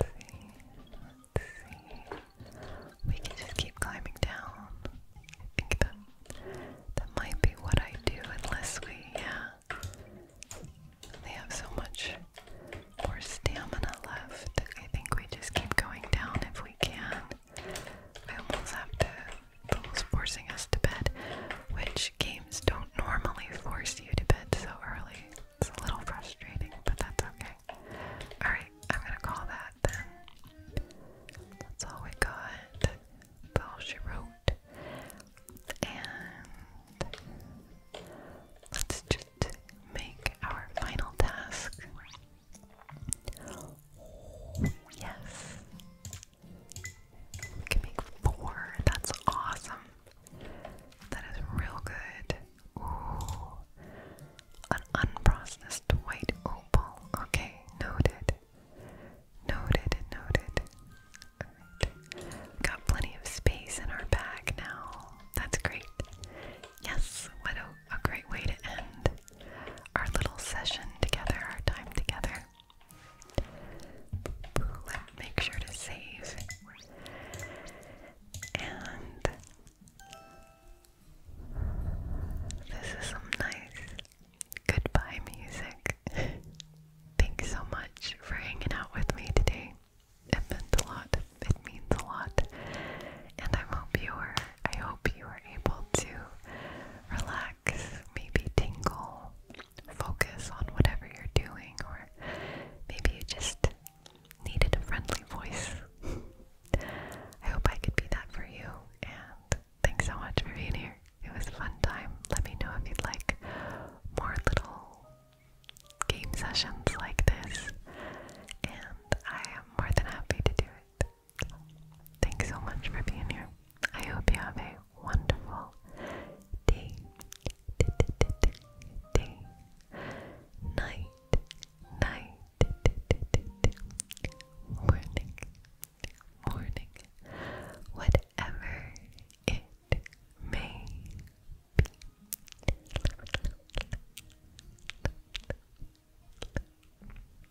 S1: let's see. We can just keep climbing down. I think that that might be what I do, unless we, yeah. They have so much more stamina left. I think we just keep going down if we can. I have to, almost forcing us to bed, which games don't normally force you to bed so early. It's a little frustrating, but that's okay. Alright, I'm gonna call that then. That's all we got. Well, she wrote. And let's just make our final task. Yes. We can make four. That's awesome. That is real good. Ooh. An unprocessed white opal. Okay, noted. Noted, noted. Got plenty of space in our bag now. That's great. Yes, what a, great way to end our little session together, our time together. Let's make sure to save. And this is some nice goodbye music. Thanks so much for hanging out with me today. It meant a lot. It means a lot and I hope you were I hope you were able to relax, maybe tingle, focus on whatever you're doing, or maybe you just needed a friendly voice. I hope I could be that for you and thanks so much for being here. It was a fun time. Let me know if you'd like more little game sessions like this. And I am more than happy to do it. Thanks so much for being here. I hope you have a wonderful day, night, night, morning, morning, whatever it may be.